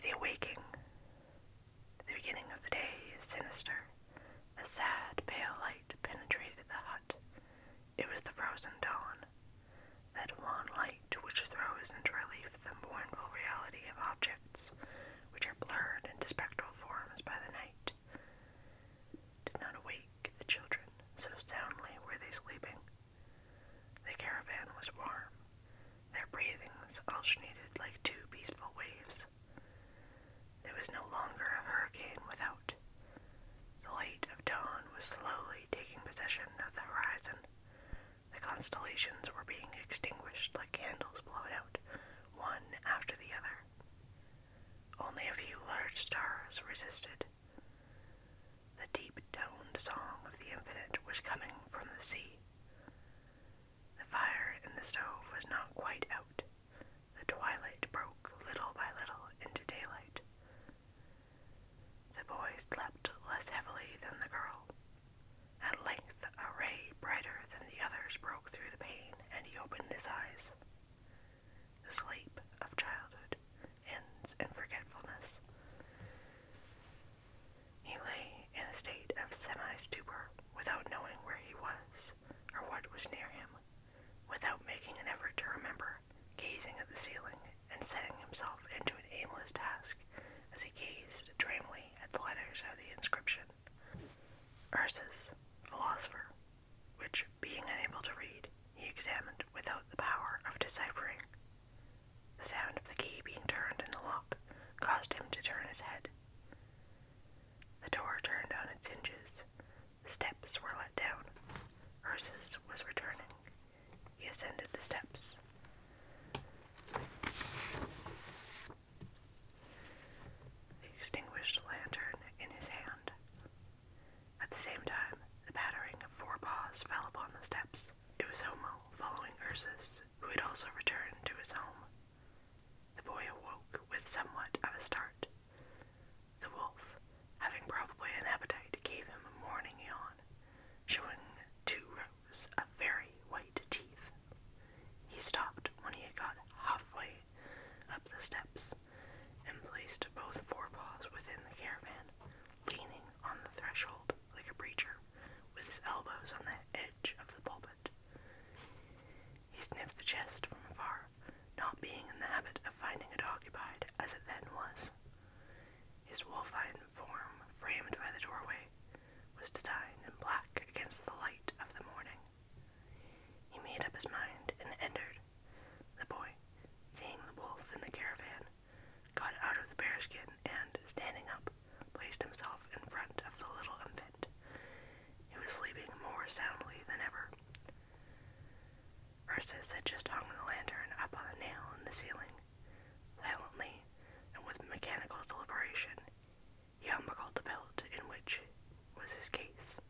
The awakening. The beginning of the day is sinister. A sad, pale light penetrated the hut. It was the frozen dawn. That wan light which throws into relief the mournful reality of objects which are blurred into spectral forms by the night. Did not awake the children, so soundly were they sleeping. The caravan was warm. Their breathings alternated like two peaceful waves. There was no longer a hurricane without. The light of dawn was slowly taking possession of the horizon. The constellations were being extinguished like candles blown out, one after the other. Only a few large stars resisted. The deep toned song of the infinite was coming from the sea. The fire in the stove was not quite out. The twilight broke little by little into daylight. The boy slept less heavily than the girl. At length, a ray brighter than the others broke through the pane, and he opened his eyes. The sleep of childhood ends in forgetfulness. He lay in a state of semi-stupor without knowing where he was or what was near him, without making an effort to remember, gazing at the ceiling and setting himself into an aimless task as he gazed dreamily at the letters of the inscription. Ursus, philosopher, which, being unable to read, he examined without the power of deciphering. The sound of the key being turned in the lock caused him to turn his head. The door turned on its hinges. steps were let down. Ursus was returning. He ascended the steps. He extinguished the lantern in his hand. At the same time, the pattering of four paws fell upon the steps. It was Homo following Ursus who had also returned to his home. The boy awoke with somewhat of a start. The wolf, having probably an appetite, gave him a morning yawn, showing two rows of very white teeth. He stopped when he had got halfway up the steps and placed both forepaws within the caravan, leaning on the threshold like a preacher, with his elbows on the edge of the pulpit. He sniffed the chest from afar, not being in the habit of finding it occupied as it then was. His wolfine form, framed by the doorway, was designed in black against the light of the morning. He made up his mind and entered. The boy, seeing the wolf in the caravan, got out of the bearskin and, standing up, placed himself in front of the little infant. He was sleeping more soundly than ever. Ursus had just hung the lantern up on a nail in the ceiling. Silently, and with mechanical deliberation, he unbuckled the belt in which was his case,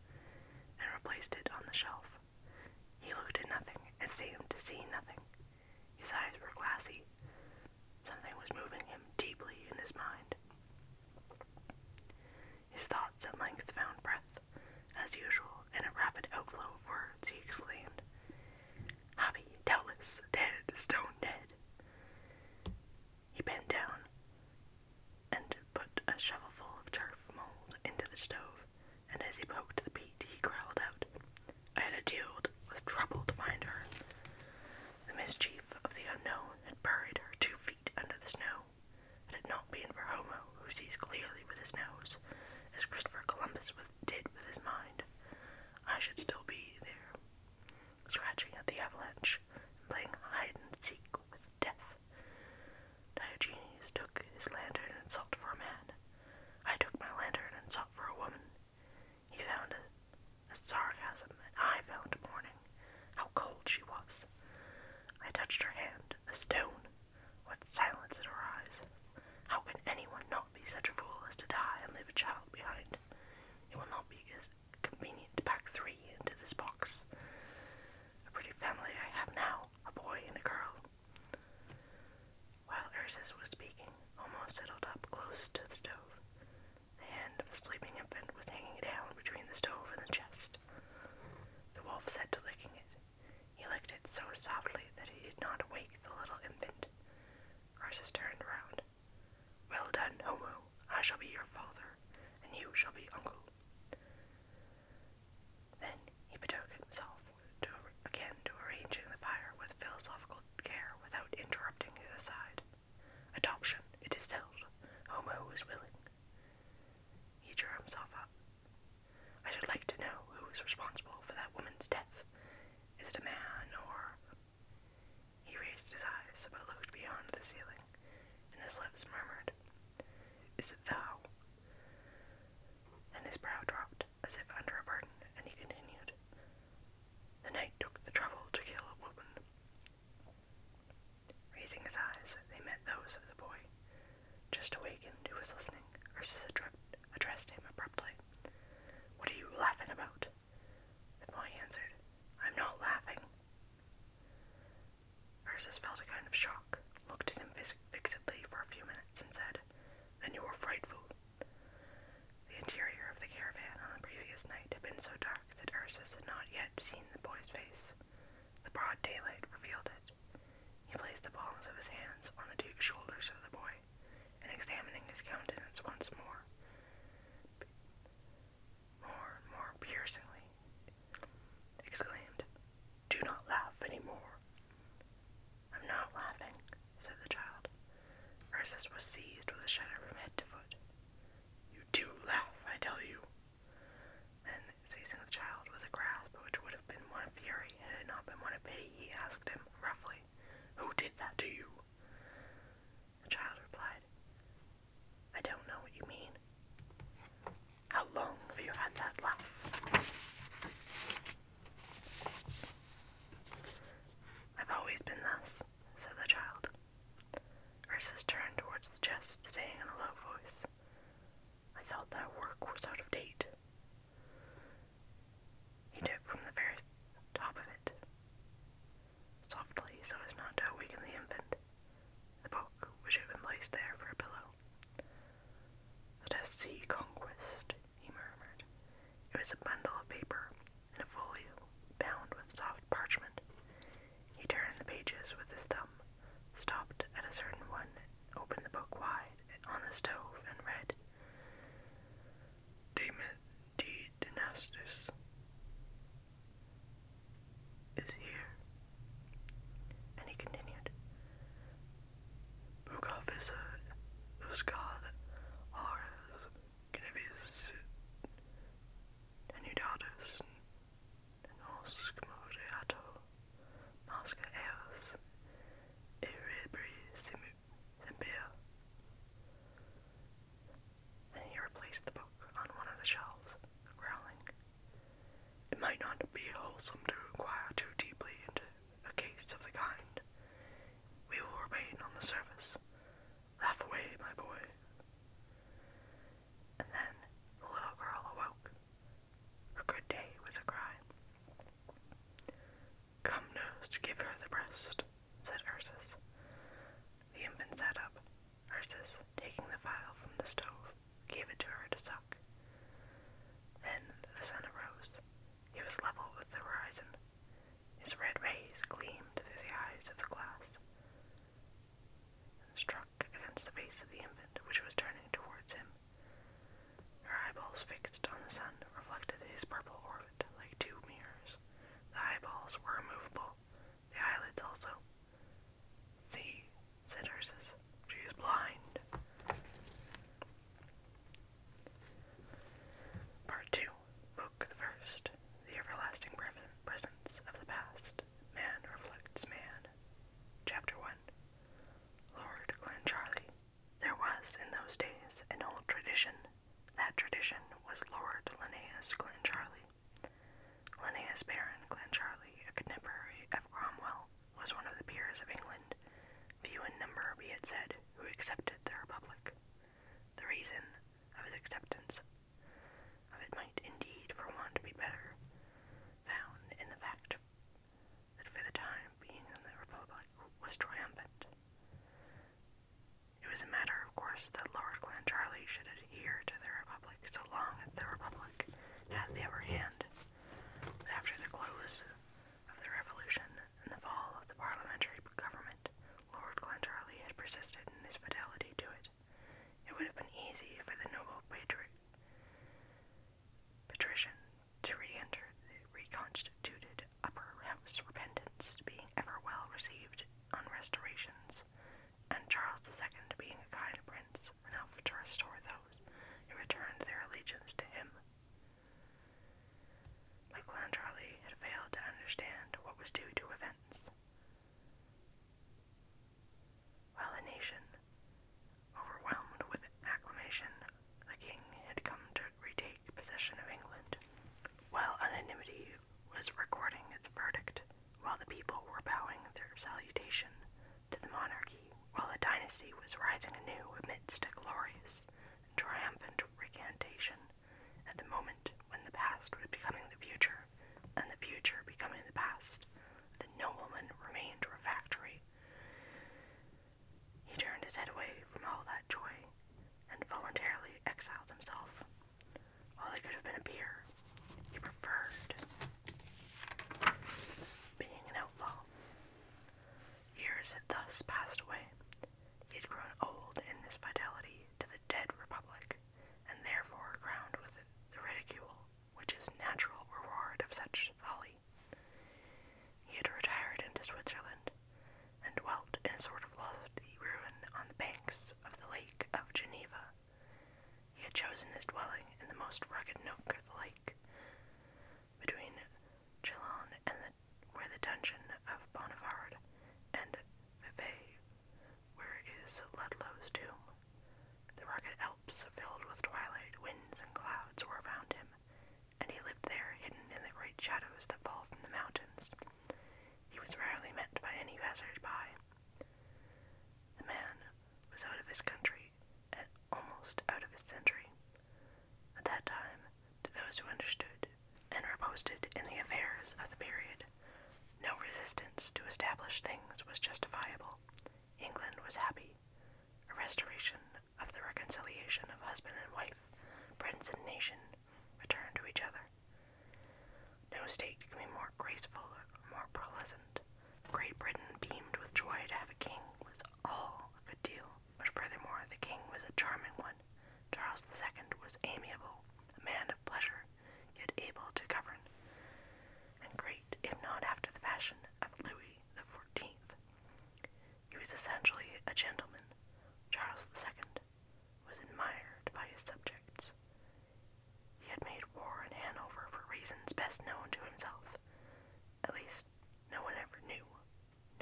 and replaced it on the shelf. He looked at nothing, and seemed to see nothing. His eyes were glassy. Something was moving him deeply in his mind. His thoughts at length found breath, as usual, in a rapid outflow of words, he exclaimed, Hobby, doubtless, dead, stone dead. He bent down and put a shovelful of turf mold into the stove, and as he poked the peat, he growled out, I had a deal with troubled to her. The mischief of the unknown had buried her two feet under the snow. Had it not been for Homo, who sees clearly with his nose, as Christopher Columbus with, did with his mind, I should still be there, scratching at the avalanche and playing hide and seek with death. Diogenes took his lantern and sought for a man. I took my lantern and sought for a woman. He found a, sarcasm, and I found mourning. How cold she was. I touched her hand, a stone. What silence in her eyes. How can anyone not be such a fool as to die and leave a child behind? It will not be as convenient to pack three into this box. A pretty family I have now, a boy and a girl. While Ursus was speaking, Homo settled up close to the stove. The hand of the sleeping infant was hanging down between the stove and the chest. The wolf set to licking it. He licked it so softly that he did not wake the little infant. Ursus turned round. Well done, Homo. I shall be your father, and you shall be uncle. Then he betook himself again to arranging the fire with philosophical care without interrupting his side. Adoption, it is held. Homo is willing. He drew himself up. I should like to know who is responsible for that woman's death. Is it a man or. He raised his eyes but looked beyond the ceiling, and his lips murmured, Is it thou? And his brow dropped as if under a burden, and he continued, the knight took the trouble to kill a woman. Raising his eyes, they met those of the boy, just awakened, who was listening. Ursus addressed him abruptly. What are you laughing about? The boy answered, I'm not laughing. Ursus felt a kind of shock, looked at him fixedly for a few minutes, and said, Then you are frightful. The interior of the caravan on the previous night had been so dark that Ursus had not yet seen the boy's face. The broad daylight revealed it. He placed the palms of his hands on the duke's shoulders of the boy, and examining his countenance once more, more and more piercingly, exclaimed, Do not laugh any more. I'm not laughing, said the child. Ursus was seized with a shudder from head to foot. You do laugh, I tell you. And seizing the child with a grasp which would have been one of fury had it not been one of pity, he asked him roughly, Who did that to you? The child replied, I don't know what you mean. How long have you had that laugh? I've always been thus, said the child. Ursus turned towards the chest, saying in a low voice, I thought that work was out of date. He took from the very top of it, softly so as not to awaken the infant, the book which had been placed there for a pillow. Let us see Conquest, he murmured. It was a bundle of paper in a folio bound with soft parchment. He turned the pages with his thumb, stopped at a certain one, opened the book wide on the stove, and read De Dynastus is here. And he continued. Bukavisa Uskad Ares Gnevis Denidatus and oscmodiato, masca eos, iribri simpia. And he replaced the book on one of the shelves, growling. It might not be wholesome to inquire too deeply into a case of the kind. We will remain on the surface Halfway, my boy. And then the little girl awoke. Her good day was a cry. Come, nurse, give her the breast, said Ursus. The infant sat up. Ursus, taking the phial from the stove, gave it to her to suck. Then the sun arose. He was level with the horizon. His red rays gleamed through the eyes of the glass and struck against the face of the infant, which was turning towards him. Her eyeballs fixed on the sun reflected his purple orbit like two mirrors. The eyeballs were immovable, the eyelids also. See, said Ursus, she is blind. Part 2 Book the First, The Everlasting Presence of the Past, Man Reflects Man. Chapter 1 Lord Clancharlie. There was in those days an old tradition. That tradition was Lord Linnaeus Clancharlie. Linnaeus Baron Clancharlie, a contemporary of Cromwell, was one of the peers of England, few in number, be it said, who accepted the Republic. The reason of his acceptance of it might indeed for one to be better, found in the fact that for the time being in the Republic was triumphant. It was a matter, of course, that Lord Glencharlie should adhere to the Republic so long as the Republic had the upper hand. after the close of the Revolution and the fall of the parliamentary government, Lord Glentarly had persisted in his fidelity to it. It would have been easy for the noble patriot, patrician to re-enter the reconstituted upper house, repentance being ever well received on restorations, and Charles II being a kind prince enough to restore those who returned their allegiance to him. But Glentarly had failed to understand what was due to events. While the nation, overwhelmed with acclamation, the king had come to retake possession of England, while anonymity was recording its verdict, while the people were bowing their salutation to the monarchy, while the dynasty was rising anew amidst a glorious and triumphant recantation at the moment when the past was becoming the future, and the future becoming the past, the nobleman remained refractory. He turned his head away from all that joy, and voluntarily exiled himself. While he could have been a peer, he preferred being an outlaw. Years had thus passed away. He had grown old in this fidelity to the dead republic, and therefore crowned with the ridicule which is natural reward of such folly. He had retired into Switzerland, and dwelt in a sort of lofty ruin on the banks of the lake of Geneva. He had chosen his dwelling in the most rugged nook of the lake, between Chillon and the, where the dungeon of Bonnivard and Vevey where is Ludlow's tomb? The rugged Alps, filled with twilight, winds, and clouds, were around him, and he lived there, hidden in the great shadows that fall from the mountains. He was rarely met by any passers-by. The man was out of his country, and almost out of his century. At that time, those who understood, and were posted in the affairs of the period, no resistance to established things was justifiable. England was happy. A restoration of the reconciliation of husband and wife, prince and nation, returned to each other. No state can be more graceful or more pleasant. Great Britain beamed with joy to have a king was all a good deal, but furthermore the king was a charming one. Charles II was amiable, a man of pleasure, yet able to govern, and great, if not after the fashion of Louis XIV. He was essentially a gentleman. Charles II was admired by his subjects. He had made war in Hanover for reasons best known to himself. At least, no one ever knew.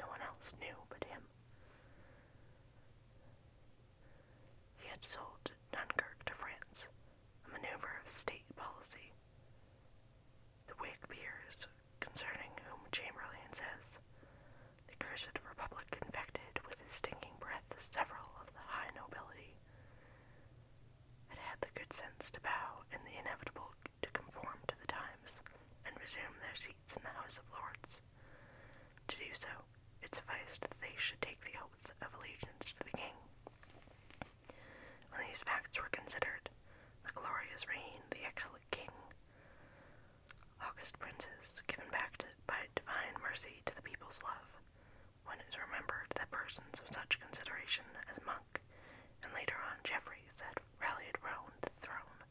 No one else knew but him. He had sold Dunkirk to France, a maneuver of state policy. The Whig peers, concerning whom Chamberlain says, the cursed republic infected with his stinking breath several of the high nobility, had had the good sense to bow and the inevitable to conform to the times and resume their seats in the House of Lords. To do so it advised that they should take the oath of allegiance to the king. When these facts were considered, the glorious reign, the excellent king, august princes, given back by divine mercy to the people's love, when it is remembered that persons of such consideration as Monk and later on Jeffreys had rallied round the throne,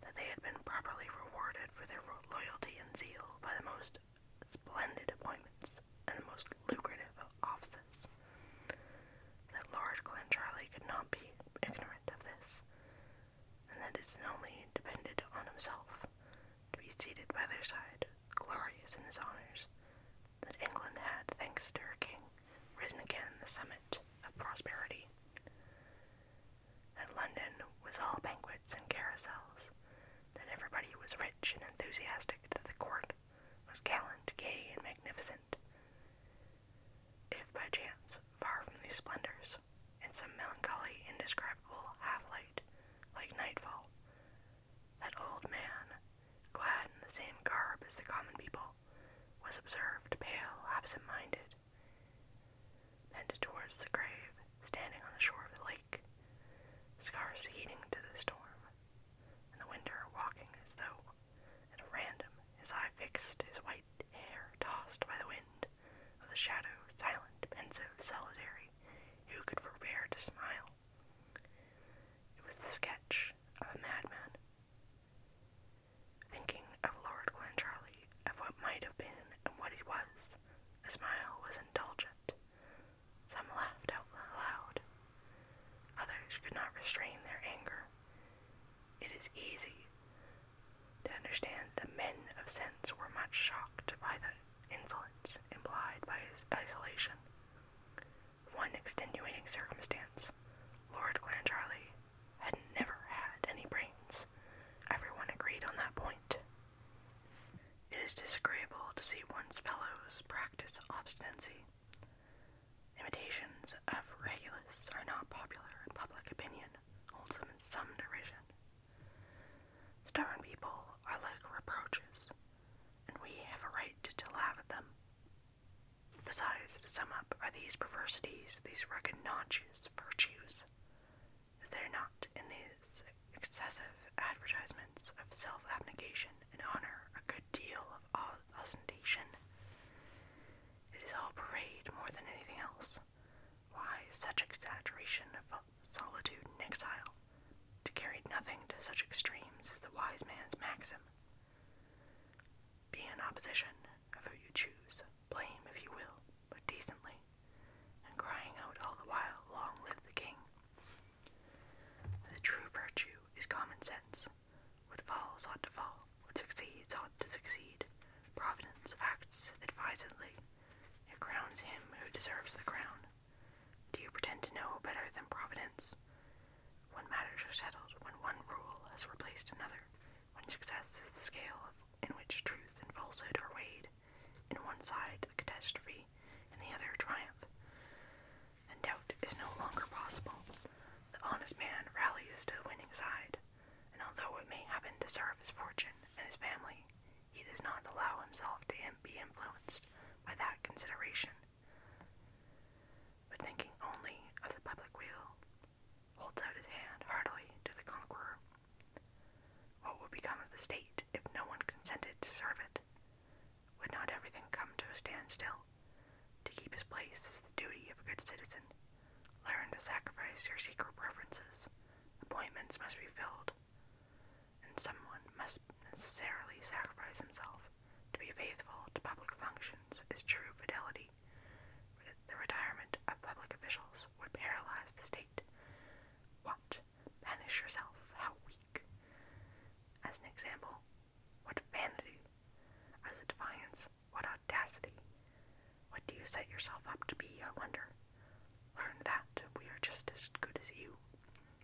that they had been properly rewarded for their loyalty and zeal by the most splendid appointments, and the most lucrative offices. That Lord Clancharlie could not be ignorant of this, and that it only depended on himself to be seated by their side, glorious in his honors, that England had, thanks to her king, risen again the summit of prosperity that London was all banquets and carousals, that everybody was rich and enthusiastic, that the court was gallant, gay, and magnificent. If by chance, far from these splendors, in some melancholy, indescribable half-light, like nightfall, that old man, clad in the same garb as the common people, was observed pale, absent-minded, headed towards the grave, standing on the shore of the lake, scarce heeding to the storm. And the winder walking as though at random, his eye fixed, his white hair tossed by the wind of the shadow, silent, pensive, solitary, who could forbear to smile? It was the sketch of a madman. Thinking of Lord Glencharlie, of what might have been and what he was, face. The smile was indulgent. Some laughed out loud. Others could not restrain their anger. It is easy to understand that men of sense were much shocked by the insolence implied by his isolation. One extenuating circumstance Lord Clancharlie had never had any brains. Everyone agreed on that point. It is disagreeable to see one's fellows practice obstinacy. Imitations of Regulus are not popular in public opinion, holds them in some derision. Stubborn people are like reproaches, and we have a right to, laugh at them. Besides, to sum up, are these perversities, these recognitious virtues, they're not in these excessive advertisements of self abnegation and honor a good deal of ostentation. It is all parade more than anything else. Why such exaggeration of solitude and exile? To carry nothing to such extremes is the wise man's maxim. Be in opposition of who you choose, blame if you will but decently, and crying out all the while, Long live the king. The true virtue is common sense. What falls ought to fall, what succeeds ought to succeed. Providence acts advisedly. It crowns him who deserves the crown. Do you pretend to know better than Providence? When matters are settled, when one rule has replaced another, when success is the scale in which truth and falsehood are weighed, in one side the catastrophe, and the other triumph. And doubt is no longer possible. The honest man rallies to the winning side, and although it may happen to serve his fortune and his family, he does not allow himself to be influenced by that consideration. But thinking only of the public weal, holds out his hand heartily to the conqueror what would become of the state if no one consented to serve it? Would not everything come to a standstill? To keep his place is the duty of a good citizen. Learn to sacrifice your secret preferences. Appointments must be filled, and someone must necessarily sacrifice himself. To be faithful to public functions is true fidelity. The retirement of public officials would paralyze the state. What Banish yourself, how weak. As an example, what vanity. As a defiance, what audacity. What do you set yourself up to be, I wonder? Learn that we are just as good as you.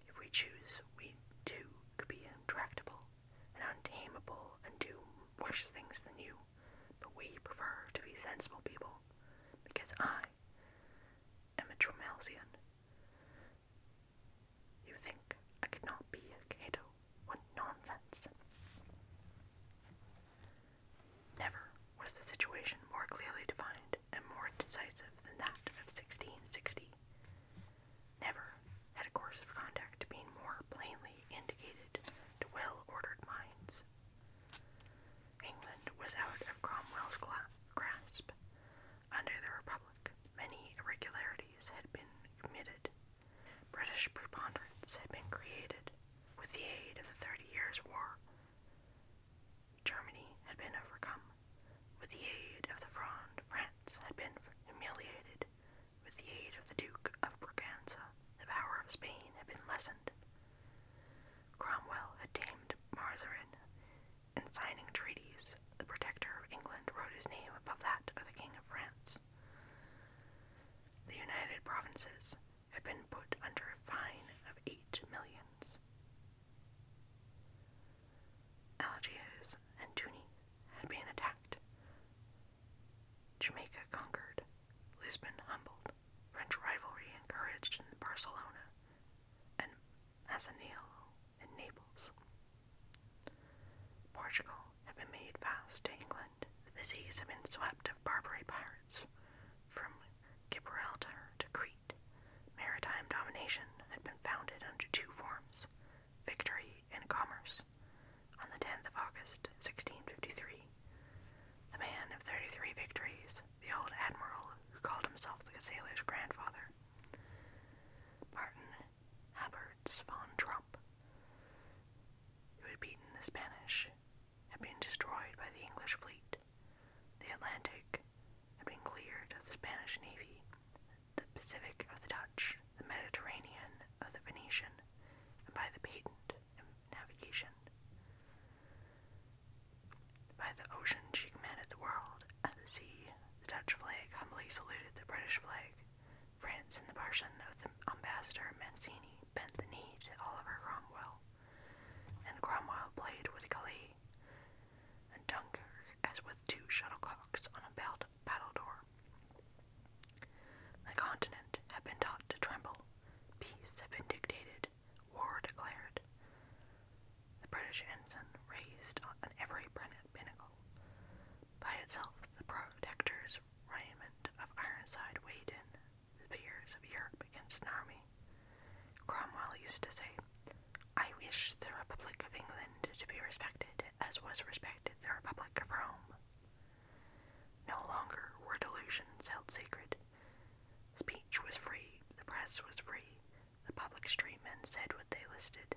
If we choose, we too could be intractable and untamable and do worse things than you. But we prefer to be sensible people, because I am a You think I could not be a Cato? What nonsense! Never was the situation more clearly defined and more decisive than that of 1660. Never had a course of conduct been more plainly indicated to well ordered minds. England was out of Cromwell's grasp. Under the Republic, many irregularities had been committed. British preponderance had been created with the aid of the Thirty Years' War. Germany had been overcome. With the aid of the Fronde, France had been humiliated. With the aid of the Duke of Braganza, the power of Spain had been lessened. Cromwell had tamed Mazarin. In signing treaties, the Protector of England wrote his name above that of the King of France. The United Provinces had been put under a fine of eight millions. Algiers and Tunis had been attacked. Jamaica conquered, Lisbon humbled, French rivalry encouraged in Barcelona, and as a Asanilo, and Naples. Portugal had been made fast to England. The seas had been swept of Barbary pirates. From Gibraltar to Crete, maritime domination had been founded under two forms, victory and commerce. On the 10th of August, 1653, the man of 33 victories the old admiral who called himself the sailor's grandfather, Martin Alberts von Trump, who had beaten the Spanish, had been destroyed by the English fleet. The Atlantic had been cleared of the Spanish navy, the Pacific of the Dutch, the Mediterranean of the Venetian, and by the patent navigation. By the ocean, she commanded the world. At the sea, the Dutch flag humbly saluted the British flag. France, and the person of the ambassador Mancini, bent the knee to Oliver Cromwell, and Cromwell played with Calais and Dunkirk as with two shuttlecocks on a belt battledore. The continent had been taught to tremble. Peace had been dictated war declared. The British ensign raised on every pinnacle. By itself, the protector's raiment of Ironside weighed in the fears of Europe against an army. Cromwell used to say, I wish the Republic of England to be respected as was respected the Republic of Rome. No longer were delusions held sacred. Speech was free, the press was free, the public street men said what they listed.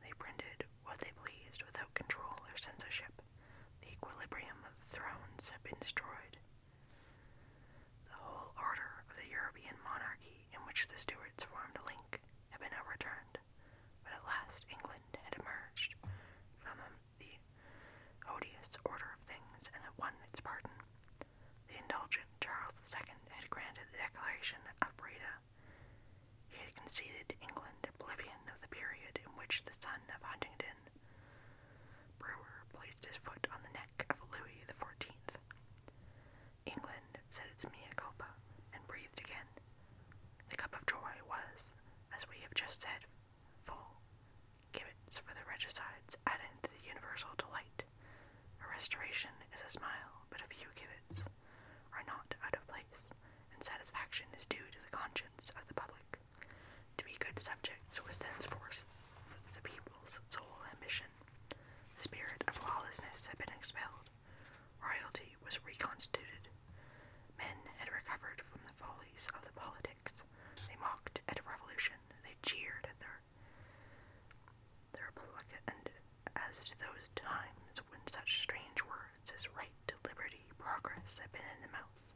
They printed what they pleased without control or censorship. The equilibrium of the thrones had been destroyed. The whole order of the European monarchy in which the Stuarts formed a link had been overturned, but at last England had emerged from the odious order of things and had won its pardon. The indulgent Charles II had granted the Declaration of Breda. He had conceded to England oblivion of the period in which the son of Huntingdon Brewer placed his foot on the neck of Louis XIV. England said its mea culpa and breathed again. The cup of joy was, as we have just said, full. Gibbets for the regicides added to the universal delight. A restoration is a smile, but a few civets are not out of place, and satisfaction is due to the conscience of the public. To be good subjects was thenceforth the people's sole ambition. The spirit of lawlessness had been expelled. Royalty was reconstituted. Men had recovered from the follies of the politics. They mocked at revolution. They cheered at their the Republic ended as to those times when such strange words as right liberty, progress had been in the mouth.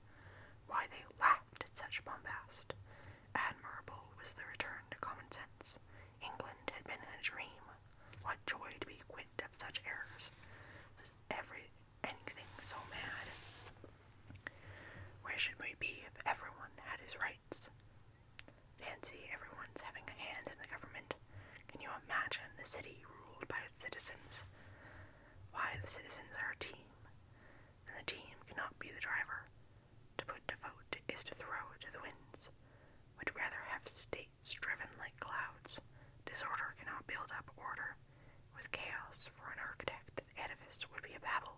Why they laughed at such bombast. Admirable was the return to common sense. England had been in a dream. What joy to be quit of such errors. Was every anything so mad? Where should we be if everyone had his rights? Fancy everyone's having a hand in the government. Can you imagine a city ruled by its citizens? Why, the citizens are a team, and the team cannot be the driver. To put to vote is to throw to the winds. Would rather have states driven like clouds. Disorder cannot build up order. With chaos for an architect, the edifice would be a babel.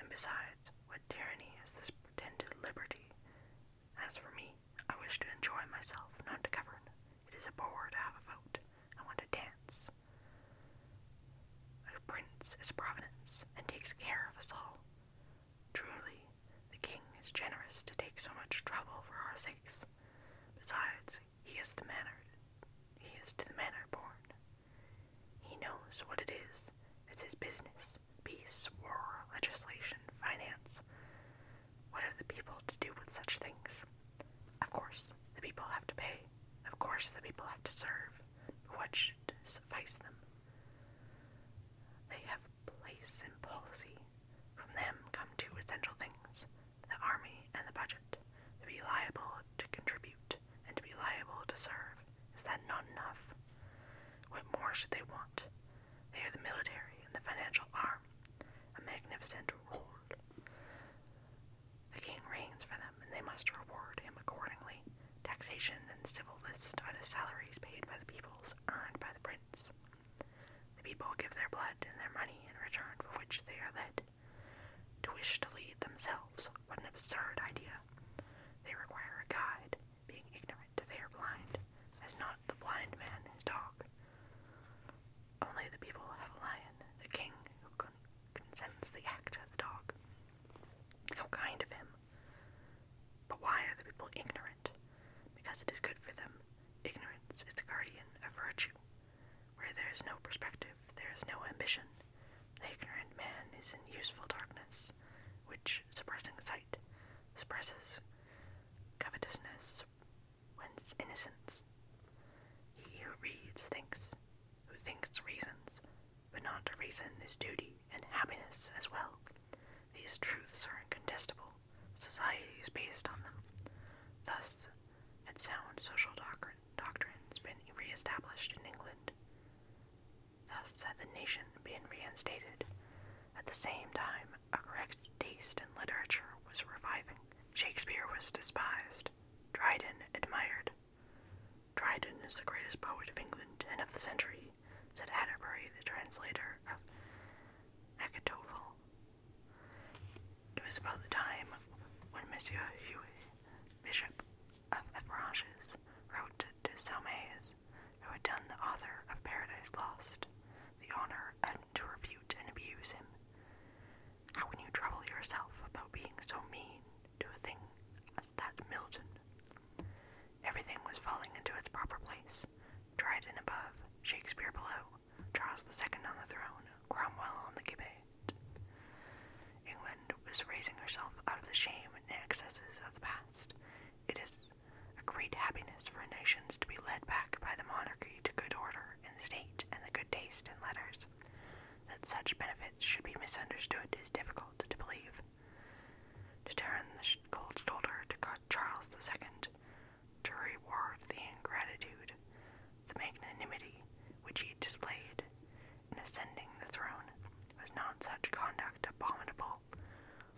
And besides, what tyranny is this pretended liberty? As for me, I wish to enjoy myself, not to govern. It is a bore to have a vote. I want to dance. A prince is providence and takes care of us all. Truly, the king is generous to take so much trouble for our sakes. Besides, he is the manner he is to the manner born. He knows what it is. It's his business. Peace, war, legislation, finance. What have the people to do with such things? Of course, the people have to pay. Of course, the people have to serve. what should suffice them? They have place in policy. From them come two essential things the army and the budget, to be liable to contribute and to be liable to serve. Is that not enough? What more should they want? They are the military and the financial arm, a magnificent reward. The king reigns for them, and they must reward him accordingly. Taxation and civil lists are the salaries paid by the peoples earned by the prince. The people give their blood and their money in return for which they are led. To wish to lead themselves what an absurd idea! They require a guide, being ignorant that they are blind, Is not the blind man his dog. Only the people have a lion, the king who con consents the act of the dog. How kind of him! But why are the people ignorant? Because it is good for them. Ignorance is the guardian of virtue. Where there is no perspective, there is no ambition, the ignorant man is in useful darkness, which, suppressing sight, suppresses covetousness, whence innocence. He who reads thinks, who thinks reasons, but not to reason is duty and happiness as well. These truths are incontestable. Society is based on them. Thus, had sound social doctrine, has been re established in England, Thus had the nation been reinstated. At the same time, a correct taste in literature was reviving. Shakespeare was despised, Dryden admired. Dryden is the greatest poet of England and of the century, said Atterbury, the translator of Achitophel. It was about the time when Monsieur Huet, Bishop of Avranches wrote to Saumaise, who had done the author of Paradise Lost the honor and to refute and abuse him. How can you trouble yourself about being so mean to a thing as that Milton? Everything was falling into its proper place. Dryden above, Shakespeare below, Charles II on the throne, Cromwell on the gibbet. England was raising herself out of the shame and excesses of the past. It is a great happiness for nations to be led back by the monarchy to good order in the state and the good taste in letters. That such benefits should be misunderstood is difficult to believe. To turn the cold shoulder to Charles II, to reward the ingratitude, the magnanimity which he displayed, in ascending the throne. Was not such conduct abominable?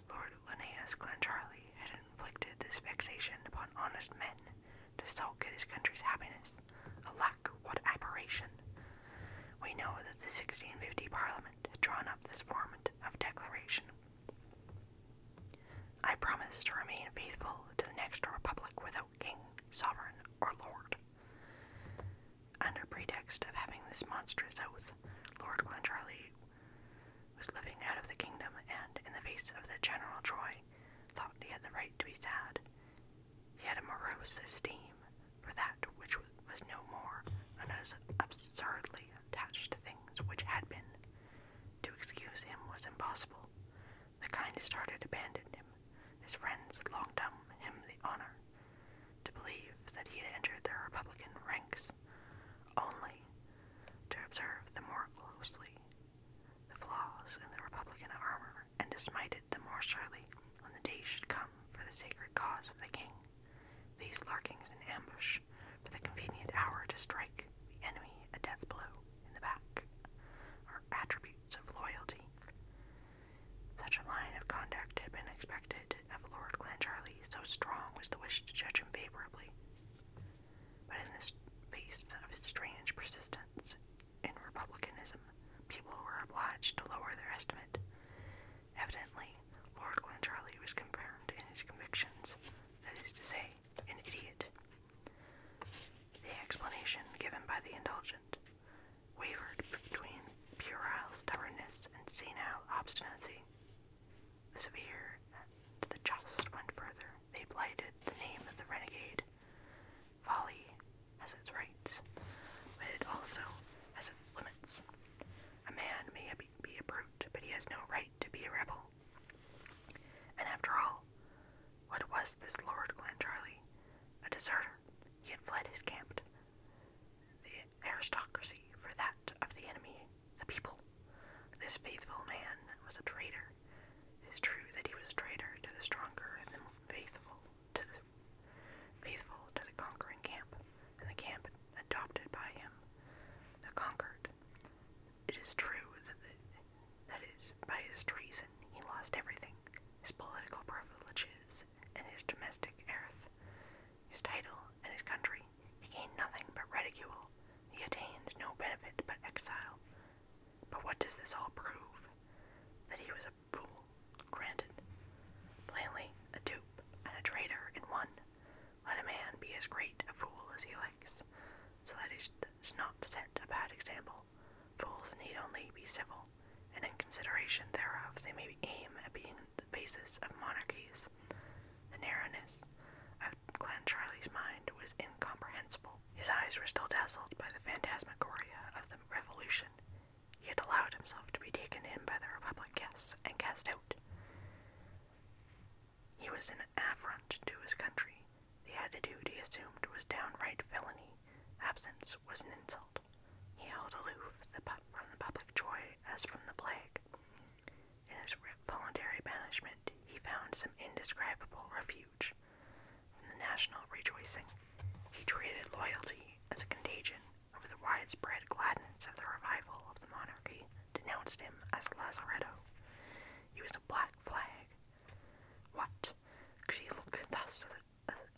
Lord Linnaeus Glencharlie had inflicted this vexation upon honest men to sulk at his country's happiness. Alack, what aberration! We know that the 1650 Parliament had drawn up this form of declaration. I promise to remain faithful to the next republic without king, sovereign, or lord. Under pretext of having this monstrous oath, Lord Glencharlie was living out of the kingdom and, in the face of the General joy, thought he had the right to be sad. He had a morose esteem for that which was no more, and was absurdly attached to things which had been. To excuse him was impossible. The kindest-hearted abandoned him. His friends longed him the honor to believe that he had entered the Republican ranks only to observe the more closely the flaws in the Republican armor and to it the more surely when the day should come for the sacred cause of the king. These lurkings in ambush for the convenient hour to strike the enemy a death blow in the back are attributes of loyalty such a line of conduct had been expected of Lord Glencharlie. so strong was the wish to judge him favorably. But in this face of his strange persistence in republicanism, people were obliged to lower their estimate. Evidently, Lord Glencharlie was confirmed in his convictions, that is to say, an idiot. The explanation given by the indulgent wavered between puerile stubbornness and senile obstinacy. The severe the just went further. They blighted the name of the renegade. Folly has its rights, but it also has its limits. A man may be a brute, but he has no right to be a rebel. And after all, what was this Lord Glencharlie, A deserter. He had fled his camp the aristocracy for that of the enemy, the people. This faithful man was a traitor. It is true that he was traitor to the stronger and the faithful to the faithful to the conquering camp, and the camp adopted by him, the conquered. It is true that the, by his treason he lost everything, his political privileges and his domestic heiress, his title and his country. He gained nothing but ridicule. He attained no benefit but exile. But what does this all prove? That he was a fool, granted. Plainly, a dupe and a traitor in one. Let a man be as great a fool as he likes, so that he does not set a bad example. Fools need only be civil, and in consideration thereof they may aim at being the basis of monarchies. The narrowness of Clancharlie's mind was incomprehensible. His eyes were still dazzled by the phantasmagoria of the revolution. He had allowed himself to be taken in by the Republic guests and cast out. He was an affront to his country. The attitude he assumed was downright villainy. Absence was an insult. He held aloof from the public joy as from the plague. In his voluntary banishment, he found some indescribable refuge from the national rejoicing. He treated loyalty as a contagion over the widespread gladness of the revival of the monarchy, denounced him as Lazaretto. He was a black flag. What? Could he look thus the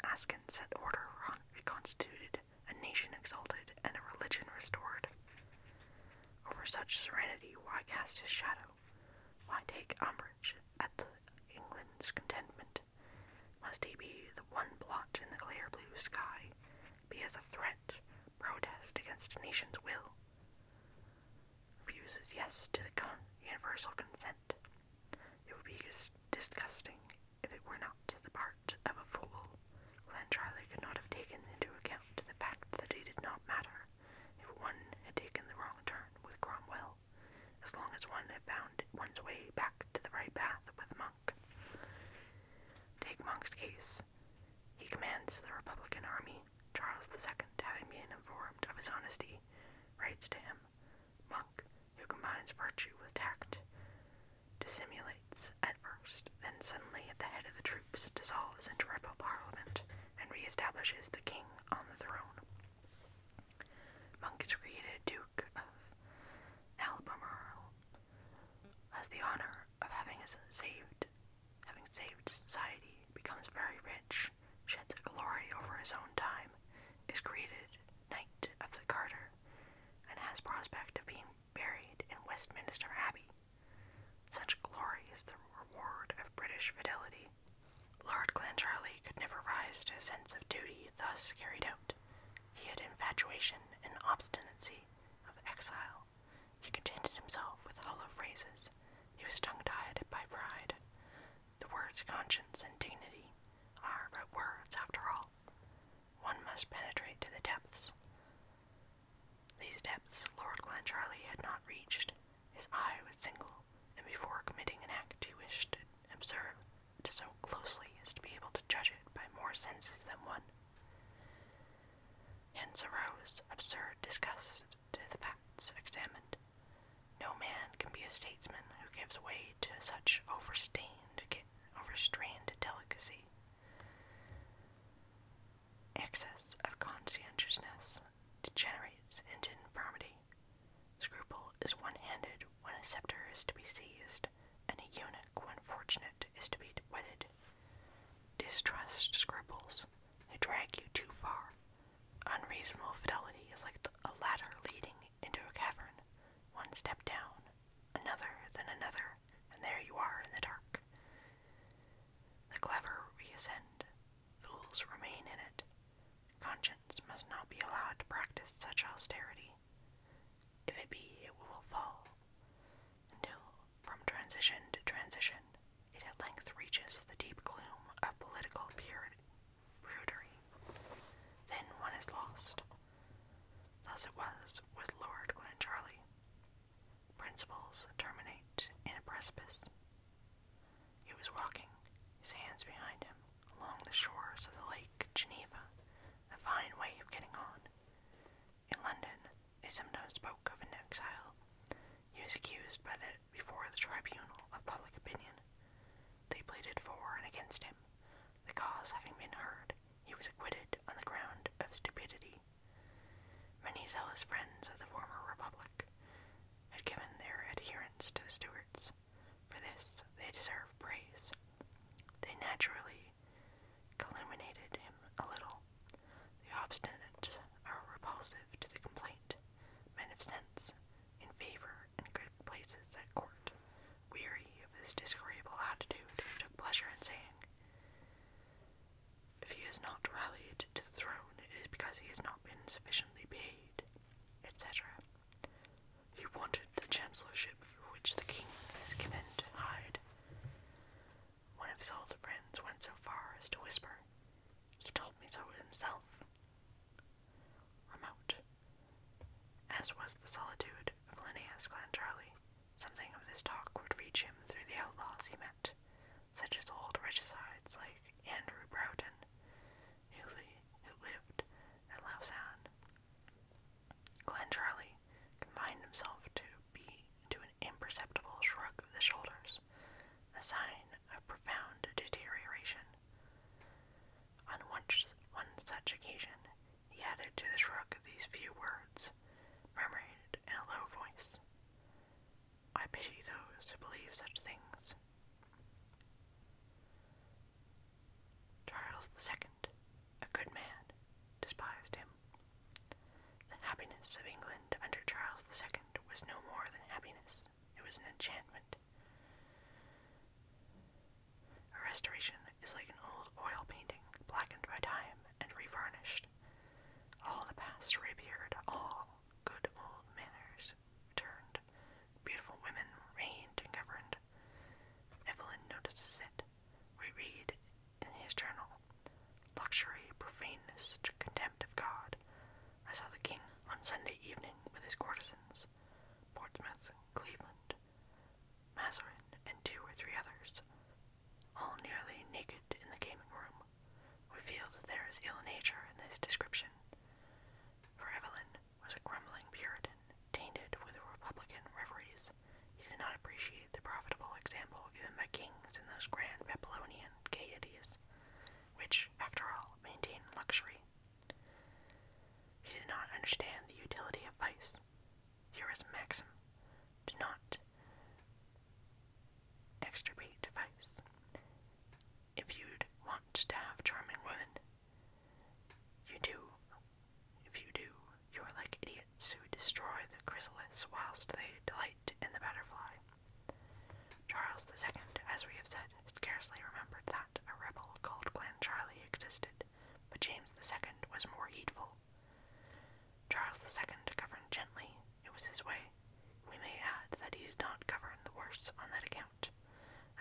Askin set order reconstituted, a nation exalted, and a religion restored. Over such serenity, why cast his shadow? Why take umbrage at the England's contentment? Must he be the one blot in the clear blue sky, be as a threat, protest against a nation's will? Refuses yes to the con universal consent. It would be disgusting if it were not the part of a fool, Clancharlie could not have taken into account the fact that it did not matter if one had taken the wrong turn with Cromwell, as long as one had found one's way back to the right path with Monk. Take Monk's case. He commands the Republican army. Charles II, having been informed of his honesty, writes to him, Monk, who combines virtue with tact, dissimulates at first, then suddenly at the head of the troops dissolves into rebel parliament and re-establishes the king on the throne. Monk is created Duke of Albermarle. has the honor of having saved, having saved society, becomes very rich, sheds a glory over his own time, is created Knight of the Garter, and has prospect of being buried in Westminster Abbey. Such glory is the reward of British fidelity. Lord Clancharlie could never rise to a sense of duty thus carried out. He had infatuation and obstinacy of exile. He contented himself with hollow phrases. He was tongue-tied by pride. The words conscience and dignity are but words after all one must penetrate to the depths. These depths Lord Glencharlie had not reached. His eye was single, and before committing an act he wished to observe it so closely as to be able to judge it by more senses than one. Hence arose absurd disgust to the facts examined. No man can be a statesman who gives way to such overstained Overstrained delicacy. Excess of conscientiousness degenerates into infirmity. Scruple is one handed when a scepter is to be seized, and a eunuch, when fortunate, is to be wedded. Distrust scruples, they drag you too far. Unreasonable fidelity is like a ladder leading into a cavern, one step down, another, then another, and there you are in the dark. The clever reascend, fools remain in it. Conscience must not be allowed to practice such austerity. If it be, it will fall, until, from transition to transition, it at length reaches the deep gloom of political purity. Then one is lost, Thus it was with Lord Glencharlie. Principles terminate in a precipice. He was walking, his hands behind him, along the shores of the Lake Geneva, a fine way of getting on. In London, they sometimes spoke of an exile. He was accused before the tribunal of public opinion. They pleaded for and against him, the cause having been heard, he was acquitted on the ground of stupidity. Many zealous friends of the former republic had given their adherence to the Stuarts. For this, they deserve praise. They naturally calumniated him a little. The obstinate are repulsive to the complaint, men of sense, in favor and good places at court, Weary of his disagreeable attitude, he took pleasure in saying, If he is not rallied to the throne, it is because he has not been sufficiently paid, etc. He wanted the chancellorship for which the king is given to hide. One of his old friends went so far as to whisper, He told me so himself. Remote, as was the solitude of Linnaeus Glencharlie. Something of this talk would reach him through the outlaws he met, such as old regicides like Andrew Broughton, who, li lived at Lausanne. Clancharlie confined himself to be to an imperceptible shrug of the shoulders, a sign of profound deterioration. On one, one such occasion, he added to the shrug these few words, murmured in a low voice, I pity those who believe such things. Charles II, a good man, despised him. The happiness of England under Charles II was no more than happiness, it was an enchantment. A restoration is like an old oil painting, blackened by time and revarnished. All the past reappeared, all good old manners returned. Beautiful women reigned and governed. Evelyn notices it. We read in his journal luxury, profaneness, contempt of God. I saw the king on Sunday evening with his courtesans. Portsmouth, Cleveland, Mazarin, and two or three others, all nearly naked in the gaming room. We feel that there is ill nature in this description, for Evelyn was a grumbling Puritan, tainted with Republican reveries. He did not appreciate the profitable example given by kings in those grand Babylonian gaieties, which, after all, maintain luxury. He did not understand the utility of vice, here is a maxim. Do not extirpate vice. If you want to have charming women, you do. If you do, you are like idiots who destroy the chrysalis whilst they delight in the butterfly. Charles II, as we have said, scarcely remembered that a rebel called Charlie existed, but James the second was more heedful Charles II governed gently. It was his way. We may add that he did not govern the worse on that account.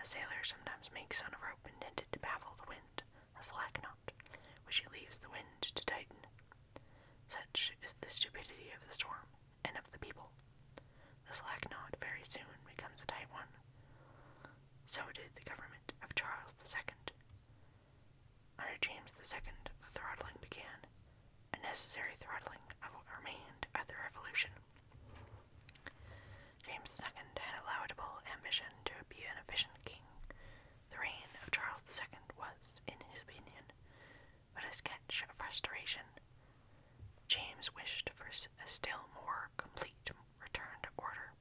A sailor sometimes makes on a rope intended to baffle the wind, a slack knot, which he leaves the wind to tighten. Such is the stupidity of the storm and of the people. The slack knot very soon becomes a tight one. So did the government of Charles II. Under James II, the throttling began, a necessary throttling of what remained at the Revolution. James II had a laudable ambition to be an efficient king. The reign of Charles II was, in his opinion, but a sketch of restoration. James wished for a still more complete return to order.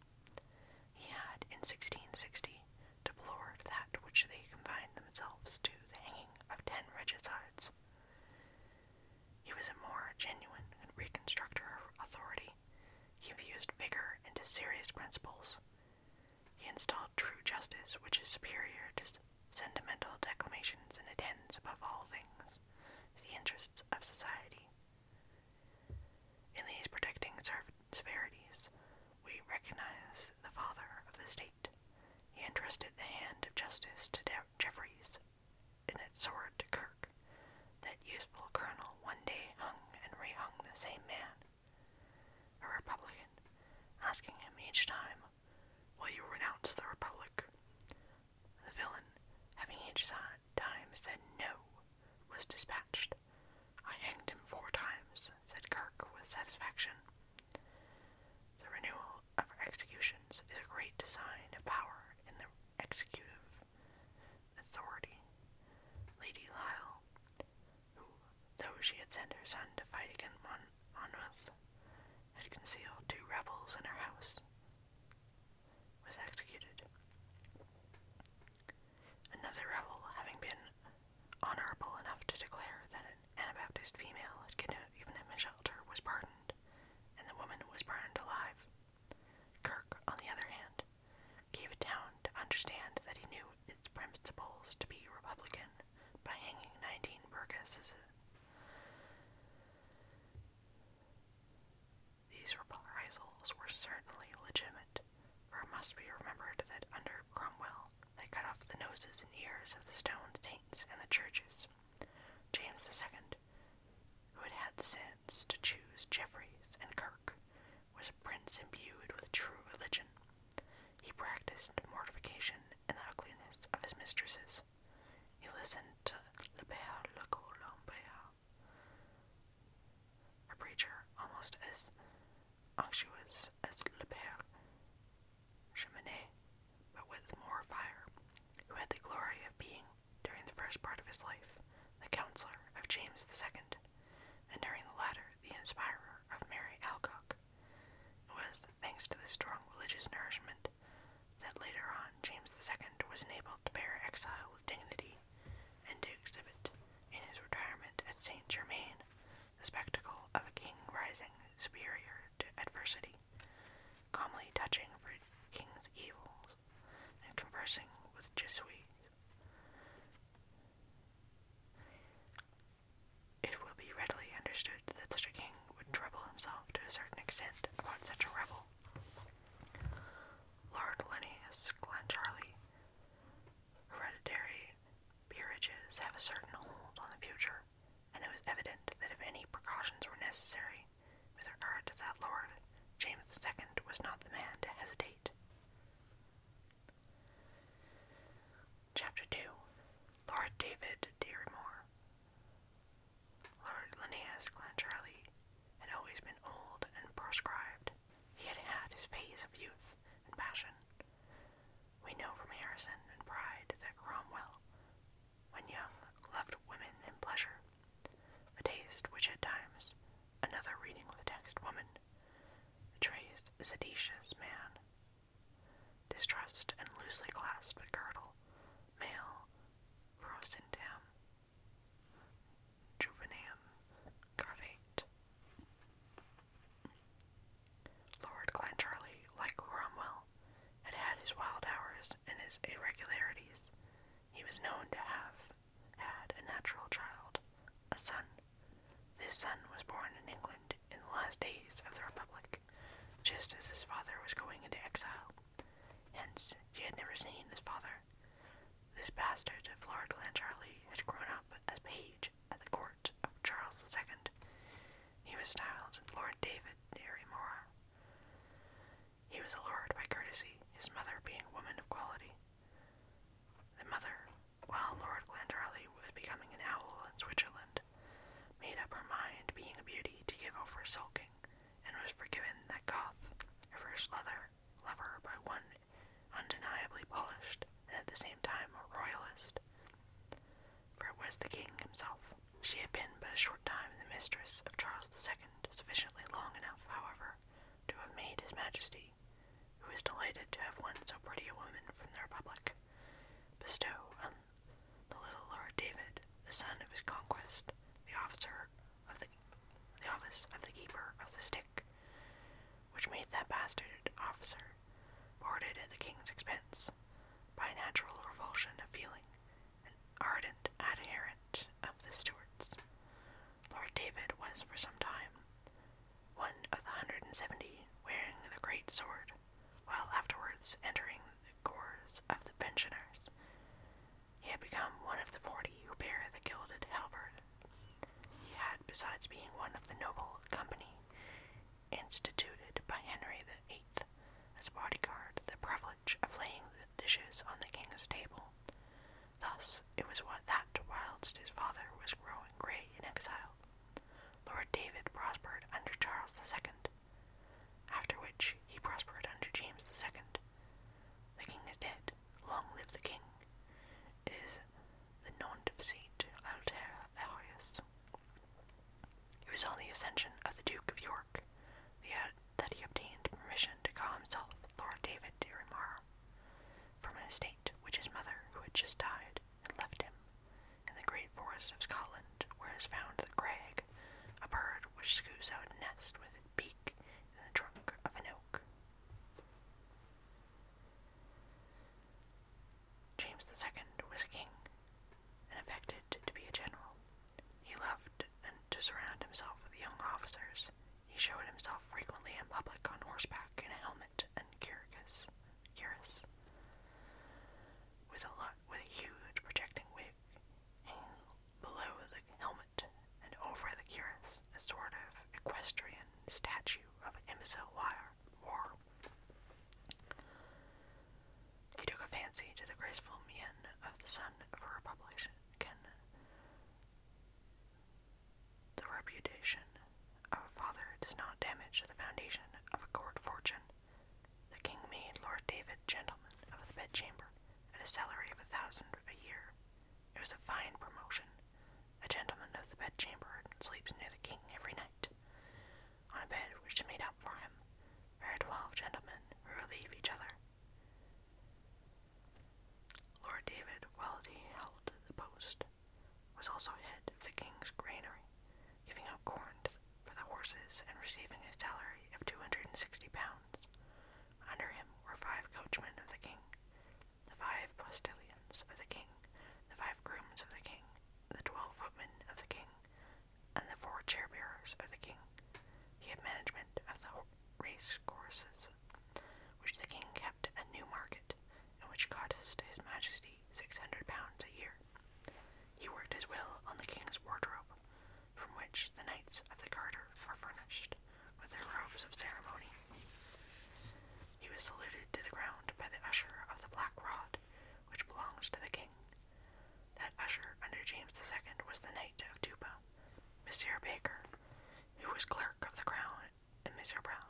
He had, in 1660, deplored that which they confined themselves to, the hanging of ten regicides. He was a more genuine reconstructor of authority. He infused vigor into serious principles. He installed true justice, which is superior to sentimental declamations and attends, above all things, the interests of society. In these protecting severities, we recognize the father of the state. He entrusted the hand of justice to De Jeffreys, and its sword to Kirk. That useful colonel one day hung and rehung the same man, a Republican, asking him each time, Will you renounce the Republic? The villain, having each time said no, was dispatched. I hanged him four times, said Kirk with satisfaction. The renewal of executions is a great sign of power in the executive authority. Lady Lyle, who, though she had sent her son to fight against Mon Monmouth, had concealed two rebels in her house, was executed. Another rebel, having been honorable enough to declare that an Anabaptist female had given him a shelter, was pardoned, and the woman was burned alive. Kirk, on the other hand, gave a town to understand that he knew its principles to be Republican by hanging 19 burgesses. These reprisals were certainly legitimate, for it must be remembered that under Cromwell they cut off the noses and ears of the stone saints in the churches. James II, who had had the sense to choose Jeffreys and Kirk, was a prince imbued with true religion. He practiced mortification and the ugliness of his mistresses. He listened to Le Beau Le Colombier, a preacher almost as unctuous as Le Cheminée, but with more fire, who had the glory of being, during the first part of his life, the counselor of James II, and during the latter, the inspirer of Mary Alcock. was thanks to this strong religious nourishment that later on James II was enabled to bear exile with dignity and to exhibit in his retirement at Saint Germain the spectacle of a king rising superior to adversity, calmly touching for king's evils, and conversing with Jesuits. It will be readily understood that such a king would trouble himself to a certain extent about such a rebel. Lord Linnaeus Clancharlie Hereditary peerages have a certain hold on the future, and it was evident that if any precautions were necessary with regard to that lord, James II was not the man to hesitate. Chapter 2 Lord David Derrymore Lord Linnaeus Clancharlie had always been old and proscribed, he had had his phase of youth and passion. We know from Harrison and Pride that Cromwell, when young, loved women in pleasure, a taste which at times another reading of the text woman betrays a seditious man. Distrust and loosely clasped girdle, male, frozen him. Juvenan Carvate. Lord Clancharlie, like Cromwell, had had his wild hours and his irregularities. He was known to have had a natural child, a son. This son was born in England in the last days of the Republic, just as his father was going into exile. Hence, he had never seen his father. This bastard of Lord Clancharlie had grown up as page at the court of Charles II. He was styled Lord David Derrymore. He was a lord by courtesy, his mother being a woman of quality. The mother, while Lord Glendarly was becoming an owl in Switzerland, made up her mind, being a beauty, to give over sulking, and was forgiven that Goth, her first lover, lover by one undeniably polished, and at the same time a royalist. For it was the king himself. She had been but a short time the mistress of Charles II, sufficiently long enough, however, to have made his majesty, who was delighted to have won so pretty a woman from the republic, bestow on the little Lord David, the son of his conquest, the officer of the office of the keeper of the stick, which made that bastard officer boarded at the king's expense by a natural revulsion of feeling, an ardent adherent of the Stuarts. Lord David was for some time one of the hundred and seventy wearing the great sword, while afterwards entering the corps of the pensioners. He had become one of the forty who bear the gilded halberd he had, besides being one of the noble company instituted by Henry VIII as bodyguard, the privilege of laying the dishes on the king's table. Thus, it was what that whilst his father was growing grey in exile, Lord David prospered under Charles II, after which he prospered under James II. The king is dead. Long live the king. It is the Nant of Saint Alter It was on the accession of the Duke of York uh, that he obtained permission to call himself Lord David de Remar from an estate which his mother, who had just died, had left him in the great forest of Scotland, where is found the crag, a bird which scoops out a nest with its beak in the trunk of an oak. James II was a king and affected to be a general. He loved and to surround himself with young officers. He showed himself frequently in public on horseback in a helmet and cuirass, cuirass with a lot, with a huge projecting wig below the helmet and over the cuirass, a sort of equestrian statue of imbecile wire war. He took a fancy to the graceful mien of the son of her republican, the reputation of a father does not damage the foundation of a court fortune. The king made Lord David gentleman of the bedchamber at a salary of a thousand a year. It was a fine promotion, a gentleman of the bedchamber sleeps near the king every night, on a bed which is made up for him. There are twelve gentlemen who relieve each other. Lord David, while he held the post, was also head of the king's granary, giving out corn for the horses and receiving a salary of two hundred and sixty pounds. Under him were five coachmen of the king, the five postilions of the king, the five grooms of the king, the twelve footmen of the king, and the four chair-bearers of the king. He had management of the race courses, which the king kept at Newmarket, and which cost his majesty six hundred pounds a year. He worked his will on the king's wardrobe, from which the knights of the garter are furnished with their robes of ceremony. He was saluted to the ground by the usher of the black rod, which belongs to the king. That usher under James II was the Knight of Duba, Mister Baker, who was clerk of the crown, and Mister Brown,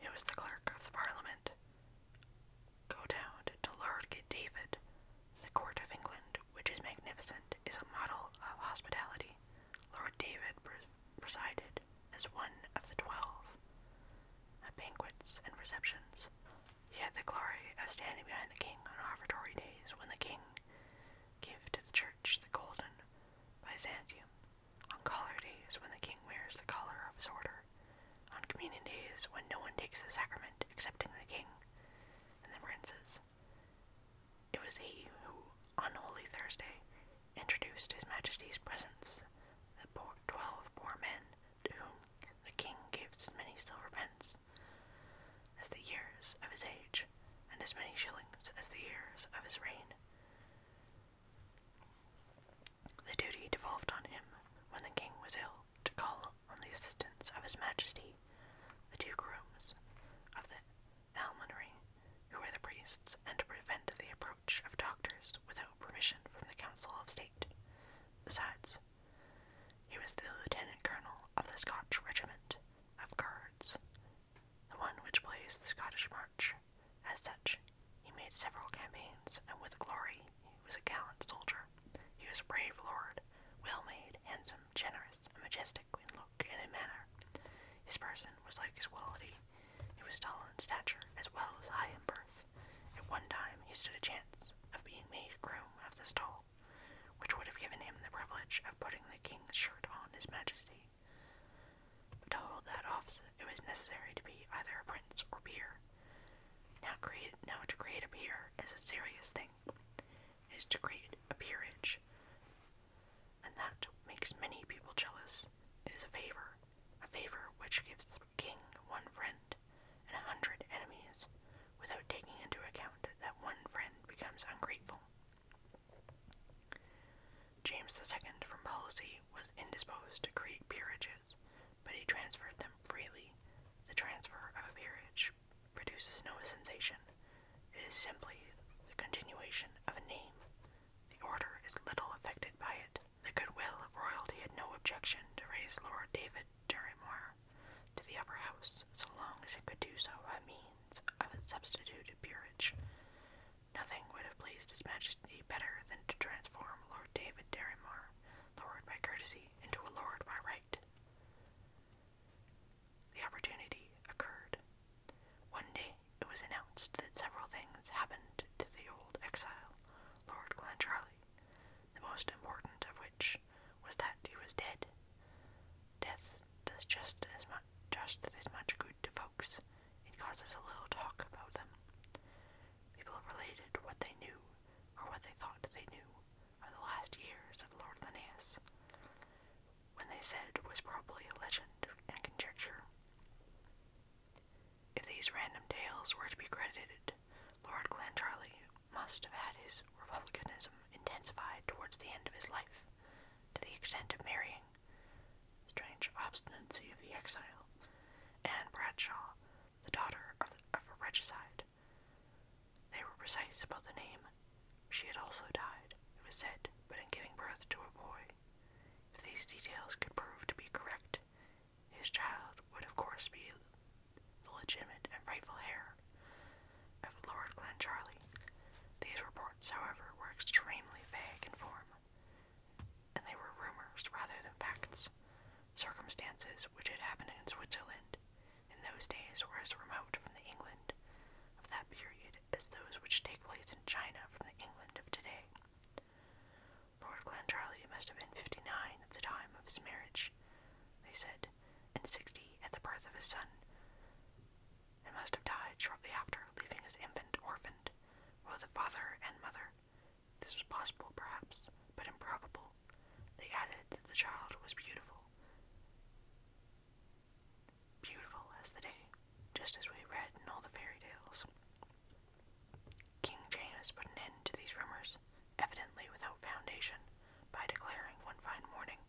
who was the clerk of the parliament. Go down to Lord David. The court of England, which is magnificent, is a model of hospitality. Lord David presided as one of the twelve at banquets and receptions. He had the glory of standing behind the king on offertory days when the king gave to the church the golden Byzantium, on collar days when the king wears the collar of his order, on communion days when no one takes the sacrament excepting the king and the princes. It was he who, on Holy Thursday, introduced His Majesty's presents, the poor, twelve poor men, to whom the king gave as many silver pence as the years of his age, and as many shillings as the years of his reign. The duty devolved on him, when the king was ill, to call on the assistance of His Majesty, the two grooms of the almonry, who were the priests, and to prevent the approach of doctors without permission from the Council of State. Besides, he was the lieutenant colonel of the Scotch Regiment of Guards, the one which plays the Scottish March. As such, he made several campaigns, and with glory, he was a gallant soldier. He was a brave lord, well made, handsome, generous, and majestic in look and in manner. His person was like his quality, he was tall in stature as well as high in birth. At one time he stood a chance of being made groom of the stall, which would have given him the privilege of putting the king's shirt on his majesty. to hold that office, it was necessary to be either a prince or peer. Now, to create a peer is a serious thing. It is to create a peerage, and that makes many people jealous. It is a favor, a favor which gives the king one friend and a hundred enemies, without taking into account that one friend becomes ungrateful. James II, from policy, was indisposed to create peerages, but he transferred them freely. The transfer of a peerage produces no sensation. It is simply the continuation of a name. The order is little affected by it. The goodwill of royalty had no objection to raise Lord David Derrymore to the upper house, so long as it could do so by means of a substituted peerage. Nothing would have pleased His Majesty better than to transform Lord David Derrymore, lord by courtesy, into a lord by right. The opportunity occurred. One day, it was announced that several things happened to the old exile, Lord Glencharlie. the most important of which was that he was dead. Death does just as much just as much good to folks. It causes a little talk about them. People related what they knew, or what they thought they knew, of the last years of Lord Linnaeus. What they said was probably a legend and conjecture. If these random tales were to be credited, Lord Glencharlie must have had his republicanism intensified towards the end of his life, to the extent of marrying. Strange obstinacy of the exile, Anne Bradshaw, the daughter of a regicide. They were precise about the name. She had also died, it was said, but in giving birth to a boy. If these details could prove to be correct, his child would of course be the legitimate and rightful heir of Lord Glencharlie. These reports, however, were extremely vague in form, and they were rumors rather than facts. Circumstances which had happened in Switzerland in those days were as remote from the England of that period as those which take place in China from the England of today. Lord Clancharlie must have been fifty nine at the time of his marriage, they said, and sixty at the birth of his son, and must have died shortly after, leaving his infant orphaned, both the father and mother. This was possible, perhaps, but improbable. They added that the child was beautiful. Beautiful as the day, just as we read in all the fairy tales. King James put an end to these rumors, evidently without foundation, by declaring one fine morning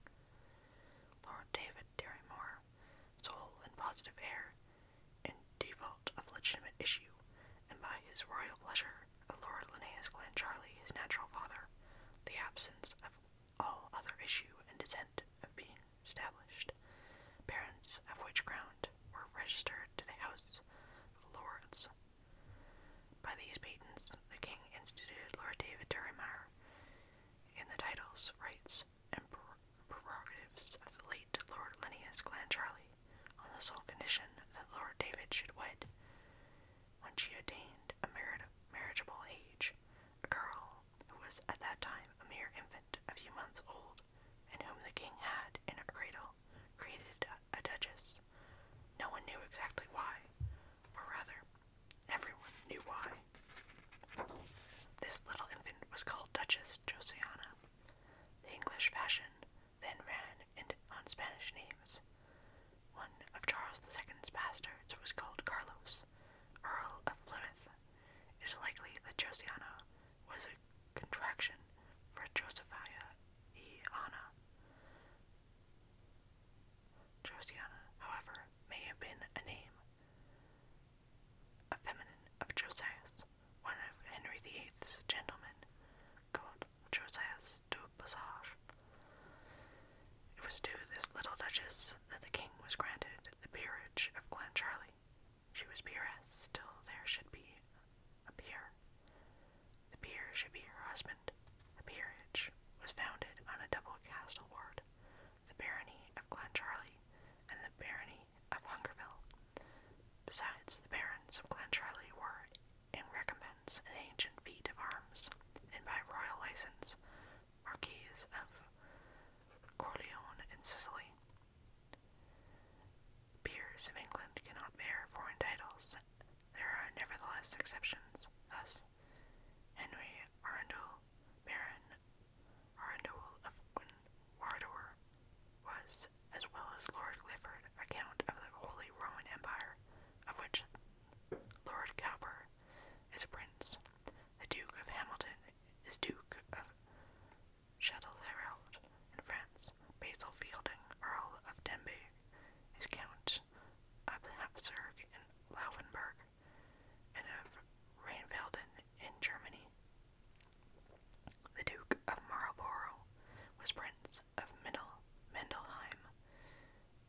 Lord David Derrymore, sole and positive heir, in default of legitimate issue, and by his royal pleasure of Lord Linnaeus Glencharlie, his natural father, the absence of all other issue and descent of being established, parents of which ground were registered to the House Lords. By these patents, the king instituted Lord David Durham in the titles, rights, and prerogatives of the late Lord Linnaeus Clancharlie, on the sole condition that Lord David should wed, when she attained a marriageable age, a girl who was at that time a mere infant, a few months old, and whom the king had, in her cradle, created a duchess. No one knew exactly why, or rather, everyone knew why. This little infant was called Duchess Josiana. The English fashion then ran into, on Spanish names. One of Charles II's bastards was called Carlos, Earl of Plymouth. It is likely that Josiana was a contraction for Josephia Iana. Josiana, however, may have been a name, a feminine of Josias, one of Henry VIII's gentlemen, called Josias du Bassage. It was to this little duchess that the king was granted the peerage of Glencharlie. She was peeress Still, there should be a peer. The peer should be her husband. The peerage was founded on a double castle ward, the barony of Clancharlie and the barony of Hungerville. Besides, the barons of Clancharlie were, in recompense, an ancient feat of arms, and by royal license, marquises of Corleone in Sicily. Peers of England cannot bear foreign titles. There are nevertheless exceptions. Thus, Henry Arundel, Baron Arundel of Wardour, was, as well as Lord Clifford, count of the Holy Roman Empire, of which Lord Cowper is a prince. The Duke of Hamilton is Duke of Châtel Herald in France, Basil Fielding, Earl of Denbigh, is Count of Hapsburg and Laufenburg, and of Rheinfelden in Germany. The Duke of Marlborough was Prince of Middle Mendelheim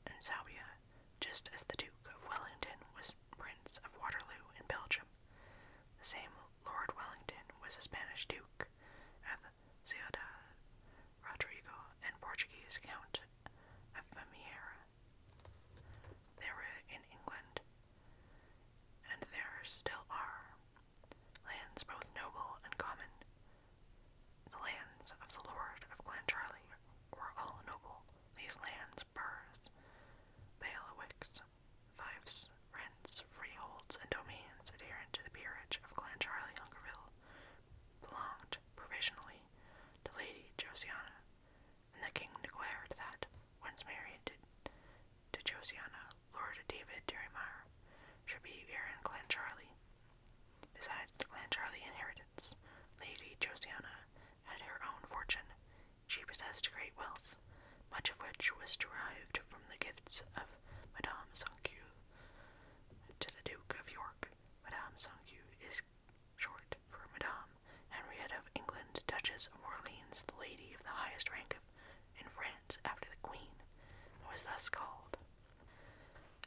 and Sabia, just as the Duke of Wellington was Prince of Waterloo in Belgium. The same Lord Wellington was a Spanish Duke of Ciudad Rodrigo and Portuguese Count of Vimiera. There were in England, and there still are, lands both noble and common. The lands of the Lord of Clancharlie were all noble. These lands, burrs, balewicks, lands, rents, freeholds, and domains adherent to the peerage of Clancharlie Hungerville belonged, provisionally, to Lady Josiana, and the king declared that, once married to, to Josiana, Lord David Derrymere should be heir in Charlie. Besides the Clancharlie inheritance, Lady Josiana had her own fortune. She possessed great wealth, much of which was derived from the gifts of Madame Sancu to the Duke of York. Madame Sancu is short for Madame Henriette of England, Duchess of Orleans, the lady of the highest rank in France after the Queen, and was thus called.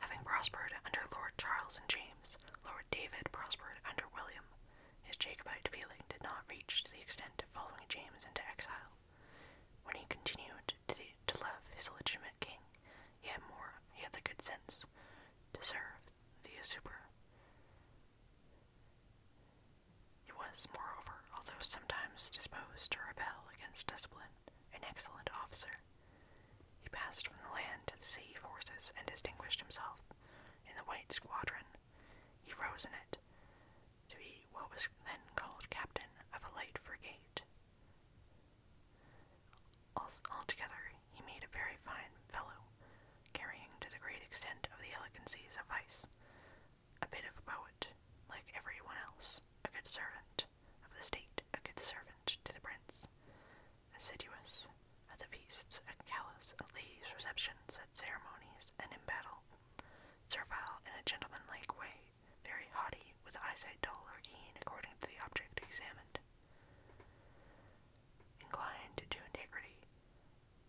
Having prospered under Lord Charles and James, Lord David prospered under William. His Jacobite feeling did not reach to the extent of following James into exile. When he continued to, love his legitimate king, yet more, he had the good sense to serve the usurper. He was, moreover, although sometimes disposed to rebel against discipline, an excellent officer. He passed from the land to the sea forces and distinguished himself in the White Squadron. He rose in it, to be what was then called captain of a light frigate. Altogether, he made a very fine fellow, carrying to the great extent of the elegancies of vice, a bit of a poet, like everyone else, a good servant of the state, a good servant to the prince, assiduous at the feasts, at callous, at ladies' receptions, at ceremonies, and in battle, servile in a gentlemanlike way, very haughty, with eyesight dull or keen according to the object examined. Inclined to integrity,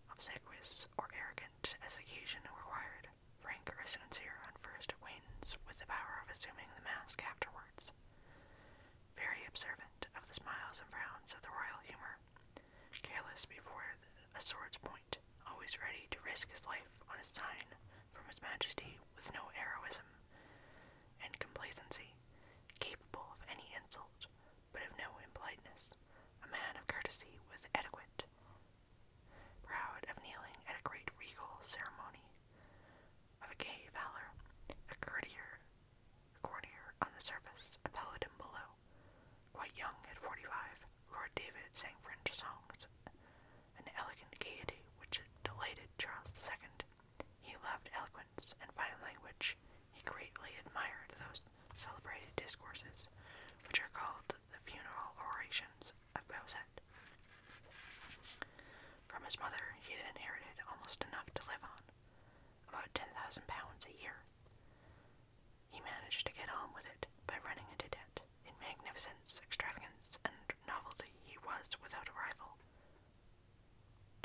obsequious or arrogant as occasion required, frank or sincere on first acquaintance, with the power of assuming the mask afterwards, very observant of the smiles and frowns of the royal humor, careless before the a sword's point, always ready to risk his life on a sign from His Majesty with no heroism and complacency, capable of any insult, but of no impoliteness, a man of courtesy was adequate, proud of kneeling at a great regal ceremony, of a gay valor, a courtier, courtier on the surface, a paladin below, quite young at forty-five, Lord David sang French songs, an elegant gaiety which delighted Charles II. He loved eloquence and fine language. He greatly admired those celebrated discourses, which are called the funeral orations of Beausset. From his mother, he had inherited almost enough to live on, about ten thousand pounds a year. He managed to get on with it by running into debt. In magnificence, extravagance, and novelty, he was without a rival.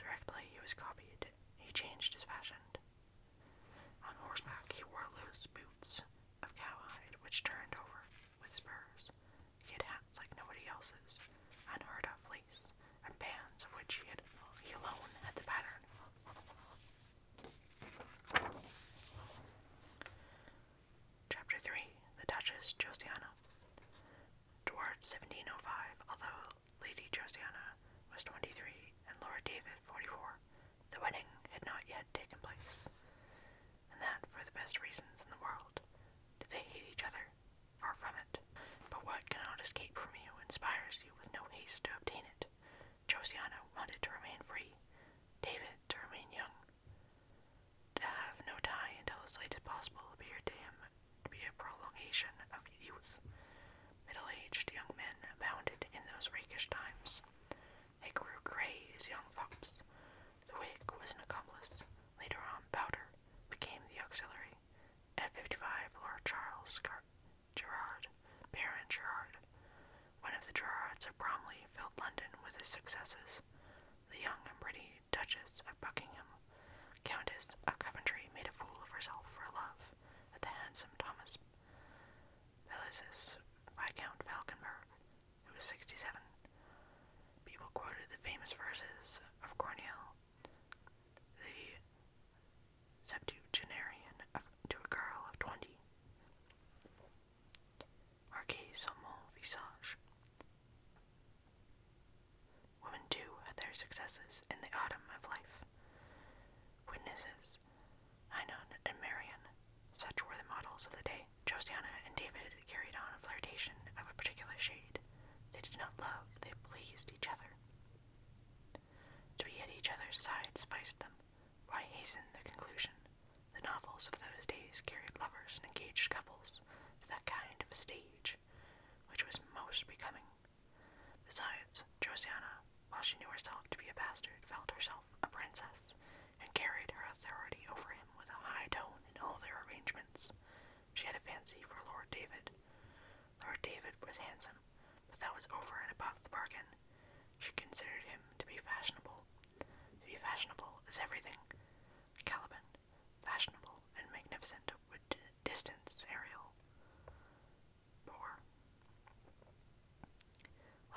Directly he was copied, he changed his fashion. On horseback, he wore loose boots of cowhide, which turned over with spurs. He had hats like nobody else's, unheard of lace, and bands of which he, had, he alone had the pattern. Chapter 3 The Duchess Josiana. Toward 1705, although Lady Josiana was 23 and Lord David 44, the wedding had not yet taken place, and that for the best reasons in the world. Did they hate each other? Far from it. But what cannot escape from you inspires you with no haste to obtain it. Josiana wanted to remain free, David to remain young, to have no tie until as late as possible appeared to him to be a prolongation of youth. Middle aged young men abounded in those rakish times. They grew gray as young fops. The wig was an accomplice. Later on, Powder became the auxiliary. At fifty five, Lord Charles Gerard, Baron Gerard, one of the Gerards of Bromley filled London with his successes. The young and pretty Duchess of Buckingham, Countess of Coventry, made a fool of herself for love at the handsome Thomas Bellicis, Viscount Falconberg, who was sixty-seven. People quoted the famous verses of Corneille, the septuagenarian, to a girl of twenty marqué sur mon visage. Women too had their successes in the autumn of life. Witnesses, Hynon and Marion, such were the models of the day. Josiana and David carried on a flirtation of a particular shade. They did not love, they pleased each other. To be at each other's side sufficed them. Why hasten the conclusion? The novels of those days carried lovers and engaged couples to that kind of a stage which was most becoming. Besides, Josiana, while she knew herself to be a bastard, felt herself a princess, and carried her authority over him with a high tone in all their arrangements. She had a fancy for Lord David. Lord David was handsome, but that was over and above the bargain. She considered him to be fashionable. To be fashionable is everything. Caliban, fashionable and magnificent, would distance Ariel. Poor.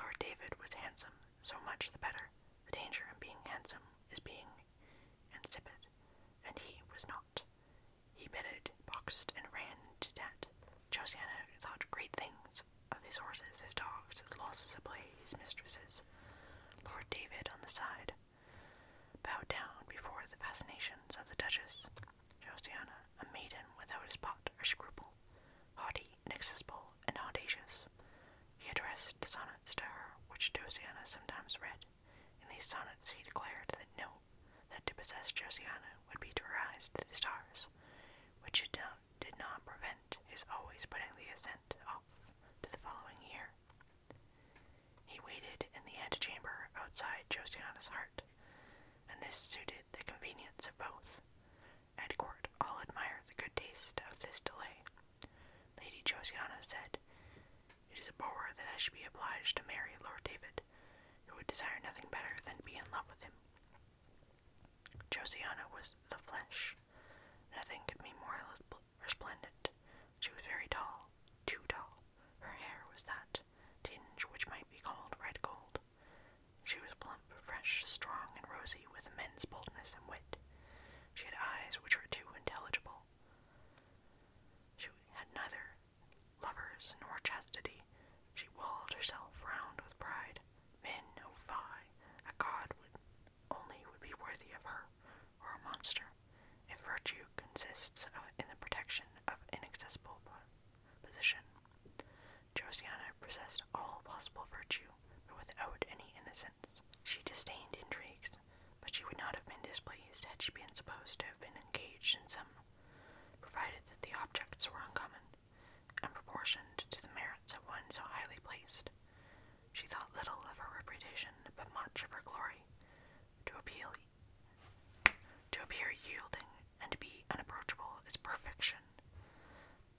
Lord David was handsome, so much the better. The danger in being handsome is being insipid, and he was not. He bitted, boxed, and ran into debt. Josiana thought great things of his horses, his dogs, his losses of play, his mistresses. Lord David, on the side, bowed down before the fascinations of the Duchess Josiana, a maiden without his pot or scruple, haughty, inaccessible, and audacious. He addressed sonnets to her, which Josiana sometimes read. In these sonnets he declared that no, that to possess Josiana would be to rise to the stars, which it now did not prevent his always putting the ascent off to the following year. He waited in the antechamber outside Josiana's heart, and this suited the convenience of both. At court, all admired the good taste of this delay. Lady Josiana said, It is a bore that I should be obliged to marry Lord David, who would desire nothing better than to be in love with him. Josiana was the flesh. Nothing could be more resplendent. She was very tall, too tall. Her hair was that tinge which might be called red gold. She was plump, fresh, strong, and rosy, with a man's boldness and wit. She had eyes which were too intelligible. She had neither lovers nor chastity. She walled herself round with pride. Men, oh fie! A god would only would be worthy of her or a monster if virtue consists in the protection of inaccessible position. Josiana possessed all possible virtue, but without any innocence. She disdained intrigues, but she would not have been displeased had she been supposed to have been engaged in some, provided that the objects were uncommon and proportioned to the merits of one so highly placed. She thought little of her reputation, but much of her glory. To appeal, to appear yielding and to be unapproachable is perfection.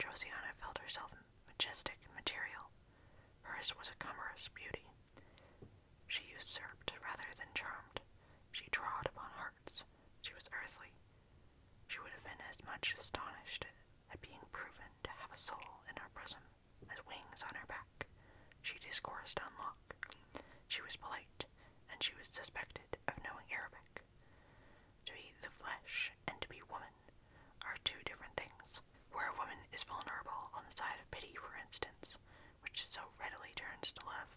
Josiana felt herself majestic and material. Hers was a cumbrous beauty. She usurped rather than charmed. She trod upon hearts. She was earthly. She would have been as much astonished and being proven to have a soul in her bosom, as wings on her back, she discoursed on She was polite, and she was suspected of knowing Arabic. To be the flesh and to be woman are two different things. Where a woman is vulnerable on the side of pity, for instance, which so readily turns to love,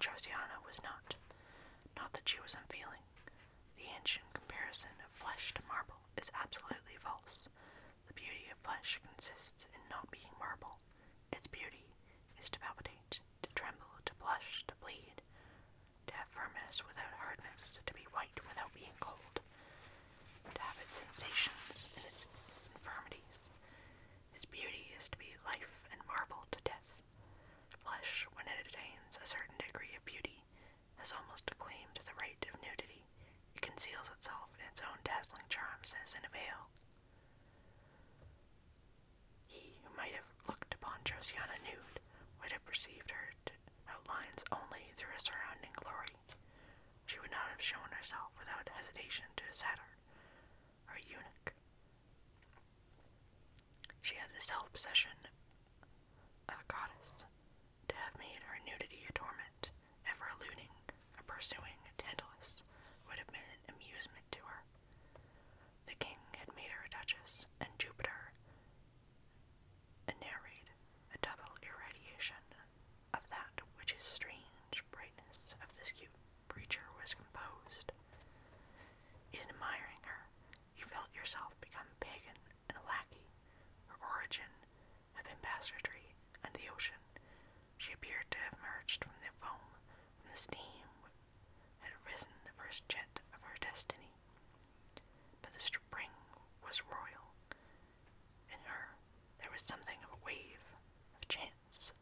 Josiana was not. Not that she was unfeeling, the ancient comparison of flesh to marble is absolutely false. The beauty of flesh consists in not being marble. Its beauty is to palpitate, to tremble, to blush, to bleed, to have firmness without hardness, to be white without being cold, to have its sensations and its infirmities. Its beauty is to be life and marble to death. Flesh, when it attains a certain degree of beauty, has almost a claim to the right of nudity. It conceals itself in its own dazzling charms as in a veil. He who might have looked upon Josiana nude would have perceived her outlines only through a surrounding glory. She would not have shown herself without hesitation to a satyr or eunuch. She had the self possession a goddess, to have made her nudity a torment, ever eluding or pursuing Tantalus, would have been an amusement to her. The king had made her a duchess, and Jupiter a a double irradiation of that which is strange brightness of this cute creature was composed. In admiring her, you felt yourself become pagan and a lackey, her origin had been pasturetry and the ocean. She appeared to have emerged from the foam, from the steam had risen the first jet of her destiny. But the spring was royal. In her there was something of a wave, of chance,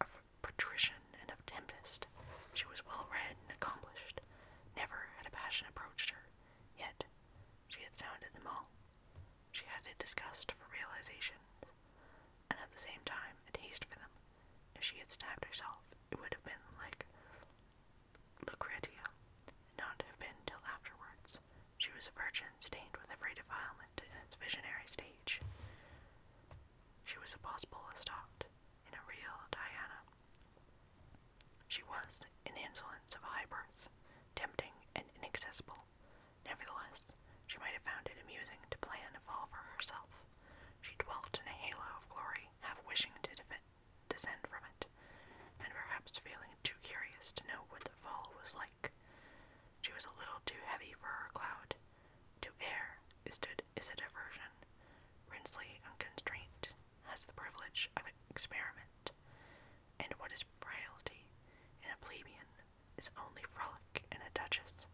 of patrician, and of tempest. She was well read and accomplished. Never had a passion approached her. Yet, she had sounded them all. She had a disgust for realizations, and at the same time, a taste for them. If she had stabbed herself, it would have been like Lucretia, not have been till afterwards. She was a virgin stained with every defilement in its visionary stage. She was a possible Estat, in a real Diana. She was an insolence of high birth, tempting and inaccessible. Nevertheless, she might have found it amusing to plan a fall for herself. She dwelt in a halo of glory, half wishing to descend from it, and perhaps feeling too curious to know what the fall was like. She was a little too heavy for her cloud. To air is, to, a diversion, rinsely unconstrained, has the privilege of an experiment, and what is frailty in a plebeian is only frolic in a duchess.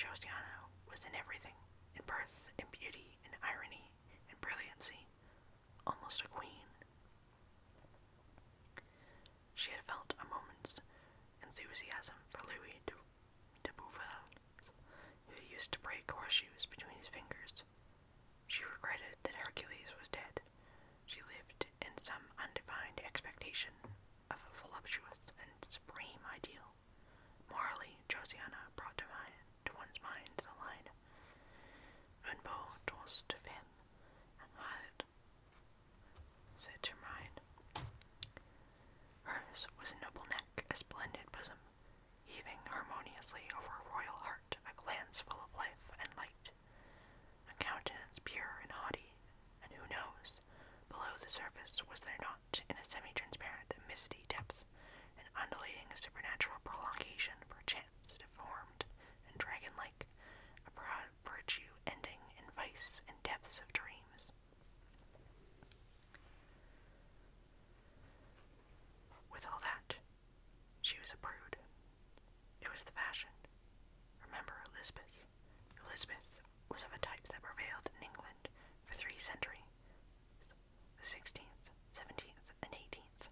Josiano was in everything, in birth, in beauty, in irony, in brilliancy, almost a queen. She had felt a moment's enthusiasm for Louis de, de who used to break horseshoes between his fingers, she regretted that Hercules was dead. She lived in some undefined expectation of a voluptuous and supreme ideal. Morally, Josiana brought to, mind, to one's mind the line, Un beau dos de femme, and had said to mind. Hers was a noble neck, a splendid bosom, heaving harmoniously over a royal heart, a glance full of life and light, a countenance pure and haughty, and who knows, below the surface was there not, in a semi-transparent misty depth, an undulating supernatural prolongation perchance deformed and dragon-like, a proud virtue ending in vice and depths of dreams. With all that, she was a brood, it was the fashion. Remember Elizabeth. Elizabeth was of a type that prevailed in England for three centuries the 16th, 17th, and 18th.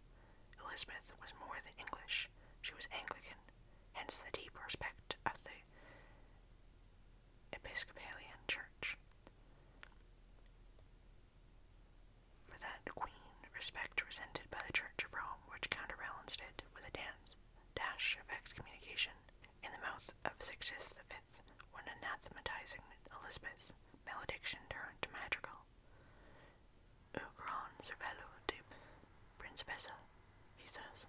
Elizabeth was more than English, she was Anglican, hence the deep respect of the Episcopalian Church. For that queen, respect resented by the Church of Rome, which counterbalanced it with a dance, dash of excommunication, in the mouth of Sixtus V, when anathematizing Elizabeth, malediction turned to madrigal. O gran cervello de principessa, he says.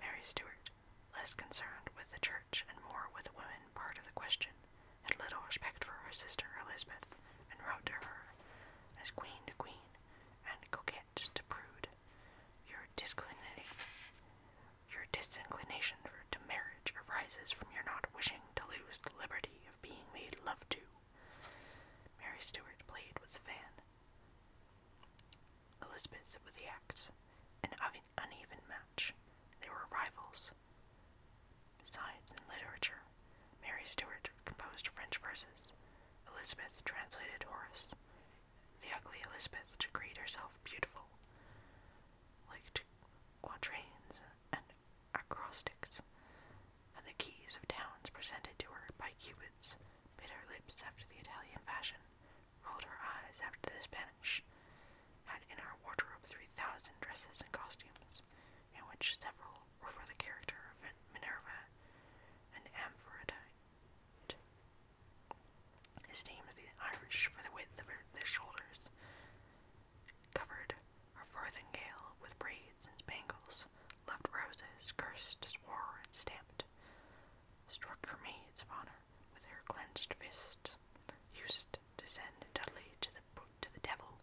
Mary Stuart, less concerned with the church and more with women, part of the question, had little respect for her sister Elizabeth, and wrote to her as queen to queen and coquette to prude. Your, your disinclination for, to marriage arises from your not wishing to lose the liberty of being made love to. Mary Stuart played with the fan, Elizabeth with the axe, an uneven match. They were rivals, Science and literature. Mary Stuart composed French verses. Elizabeth translated Horace. The ugly Elizabeth decreed herself beautiful, liked quatrains and acrostics, and the keys of towns presented to her by cupids bit her lips after the Italian fashion, rolled her eyes after the Spanish, had in her wardrobe three thousand dresses and costumes, in which several were for the character of Minerva and Amphitrite. His name is the Irish for the width of her, their shoulders, covered her farthingale with braids and spangles, loved roses, cursed, swore, and stamped, struck her maids of honor with her clenched fist, used to send Dudley to the to the devil.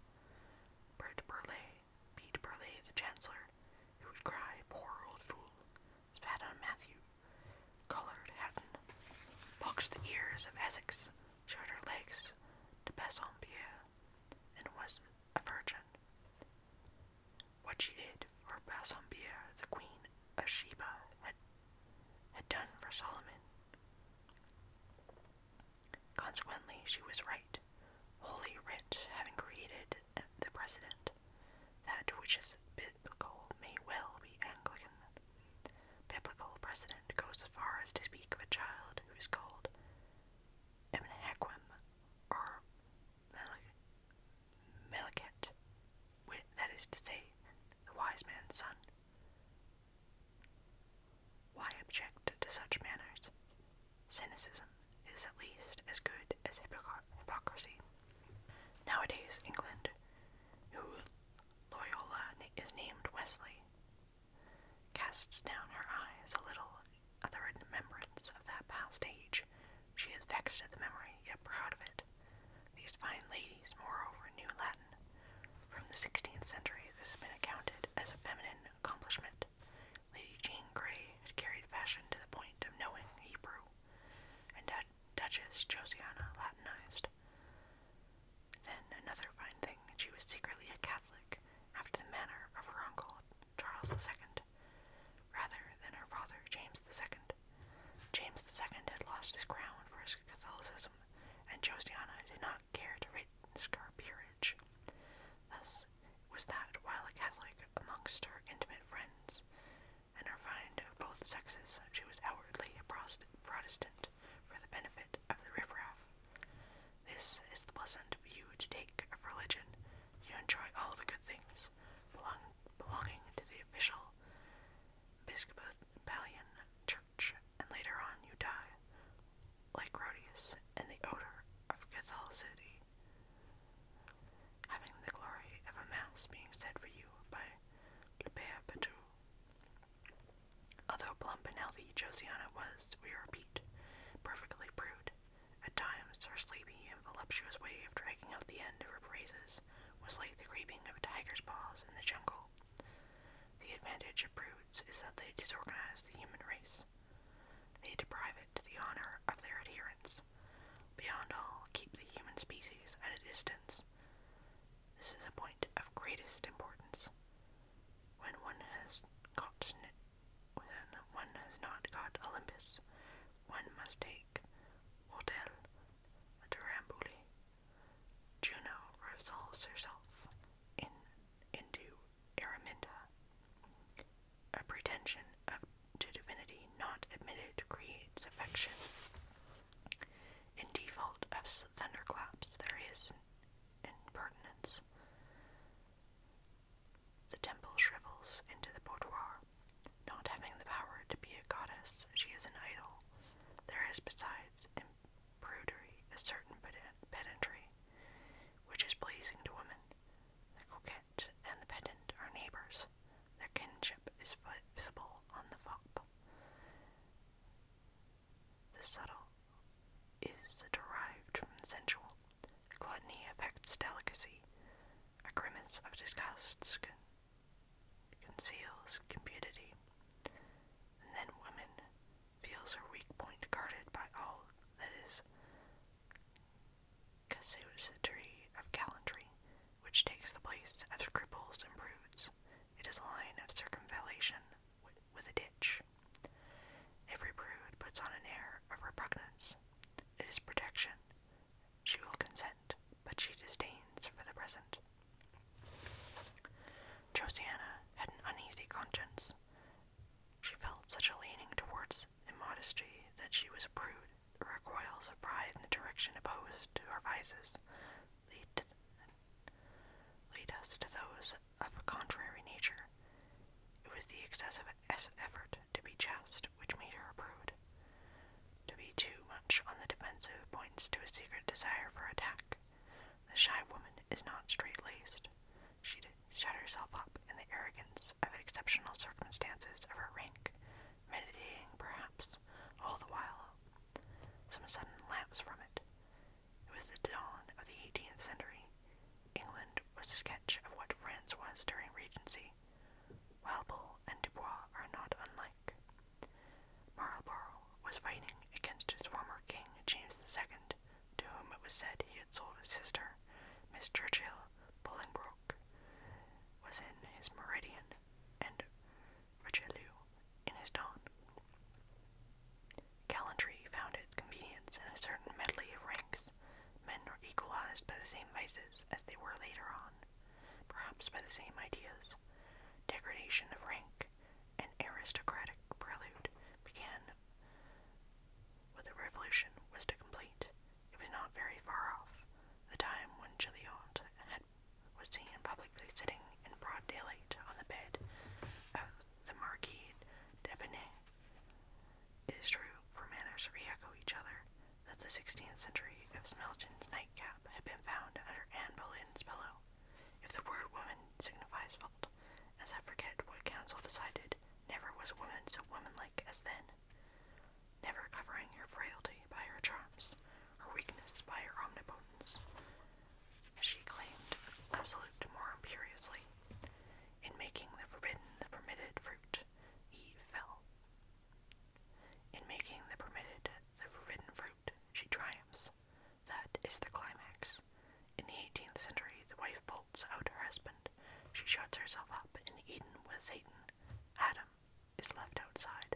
Bert Burleigh beat Burleigh the Chancellor, who would cry, poor old fool, spat on Matthew, colored Hatton, boxed the ears of Essex, showed her legs to Bassompierre, and was a virgin. What she did for Bassompierre, the Queen of Sheba, had, had done for Solomon. Consequently, she was right. Holy Writ having created the precedent, that which is biblical may well be Anglican. Biblical precedent goes as far as to speak of a child who is called Emnaquim or Meliket, that is to say, the wise man's son. Why object to such manners? Cynicism is at least as good as hypocrisy. Nowadays, England, who Loyola is named Wesley, casts down her eyes a little at the remembrance of that past age. She is vexed at the memory, yet proud of it. These fine ladies, moreover, knew Latin. From the 16th century, this has been accounted as a feminine accomplishment. Lady Jane Grey had carried fashion to the point of knowing Hebrew, and Duchess Josiana Latinized. Then another fine thing, she was secretly a Catholic, after the manner of her uncle Charles II, rather than her father James II. James II had lost his crown for his Catholicism, and Josiana did not not care to risk Thus was that, while a Catholic amongst her intimate friends and her find of both sexes, she was outwardly a Protestant for the benefit of the riffraff. This is the pleasant view to take of religion. You enjoy all the good things belonging to the official Episcopalian church, and later on you die, like Rhodius, and the odor of catholicity. Having the glory of a mass being said for you by Le Although plump and healthy, Josiana was, we repeat, perfectly prude. At times, her sleepy and voluptuous way of dragging out the end of her phrases was like the creeping of a tiger's paws in the jungle. The advantage of prudes is that they disorganize the human race. They deprive it of the honor of their adherents. Beyond all, keep the human species at a distance. This is a point of greatest importance. When one has got, when one has not got Olympus, one must take Hotel to Ramboli. Juno resolves herself in, into Araminta. A pretension to divinity not admitted creates affection. In default of thunderclaps, there is impertinence. The temple shrivels into the boudoir. Not having the power to be a goddess, she is an idol. There is, besides imprudery, a certain pedantry, which is pleasing to women, the coquette and the pedant are neighbors. Their kinship is visible on the fop. The subtle is derived from the sensual. Gluttony affects delicacy. A grimace of disgusts conceals cupidity. then woman feels her weak point guarded by all that is Casuistry of gallantry, which takes the place of cripples and prudes. It is a line of circumvallation with a ditch. Every prude puts on an air of repugnance. It is protection. She will consent, but she disdains for the present. Josiana had an uneasy conscience. She felt such a leaning towards immodesty that she was a prude. The recoils of pride in the direction opposed to her vices lead, lead us to those of a contrary nature. It was the excessive effort to be just which made her a prude. To be too much on the defensive points to a secret desire for attack. The shy woman is not straight laced. She shut herself up in the arrogance of exceptional circumstances of her rank, meditating perhaps all the while. Some sudden lapse from it. It was the dawn of the 18th century. England was a sketch of what France was during Regency. Walpole and Dubois are not unlike. Marlborough was fighting against his former king James II to whom it was said he had sold his sister, Miss Churchill Bolingbroke, was in his meridian, and Richelieu in his dawn. Gallantry found its convenience in a certain medley of ranks. Men were equalized by the same vices as they were later on, perhaps by the same ideas. Degradation of rank, and aristocratic prelude, began when the revolution was to complete, it was not very far off, the time when Chilliot was seen publicly sitting in broad daylight on the bed of the Marquis d'Epinay. It is true, for manners re-echo each other, that the 16th century of Smelton's nightcap had been found under Anne Boleyn's pillow. If the word woman signifies fault, as I forget what council decided, never was woman so womanlike as then, never covering her frailty by her charms, her weakness by her omnipotence. She claimed absolute more imperiously. In making the forbidden the permitted fruit, Eve fell. In making the permitted the forbidden fruit, she triumphs. That is the climax. In the 18th century, the wife insults out her husband, she shuts herself up in Eden with Satan. Adam is left outside.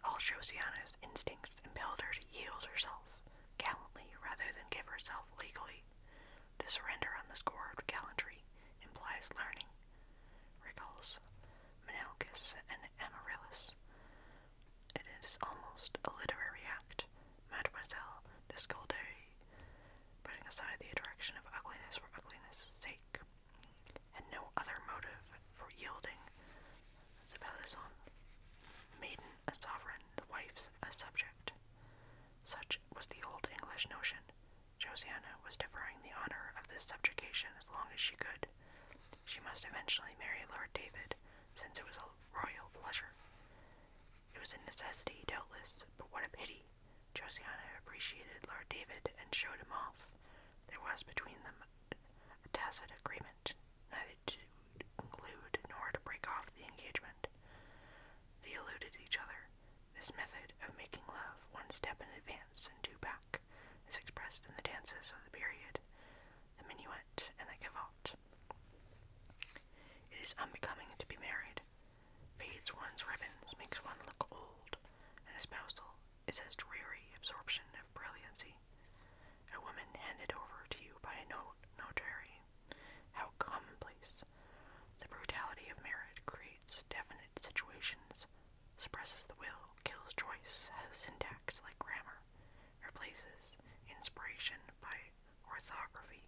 All Josiana's instincts impel her to yield herself gallantly rather than give herself legally. To surrender on the score of gallantry implies learning. Recalls Menalcas and Amaryllis. It is almost a literary act Mademoiselle de Scudery, putting aside the attraction of ugliness for ugliness' sake, had no other motive for yielding the Pelison, maiden a sovereign, the wife a subject. Such was the old English notion. Josiana was deferring the honor of this subjugation as long as she could. She must eventually marry Lord David, since it was a royal pleasure. It was a necessity, doubtless, but what a pity. Josiana appreciated Lord David and showed him off. There was between them a tacit agreement, neither to conclude nor to break off the engagement. They eluded each other. This method of making love one step in advance and two back is expressed in the dances of the period, the minuet and the gavotte. It is unbecoming to be married, Feeds one's ribbons, makes one look old, and espousal is as dreary absorption of brilliancy. A woman handed over to you by a no notary. How commonplace. The brutality of marriage creates definite situations, suppresses the will, kills choice, has a syntax like grammar, replaces inspiration by orthography,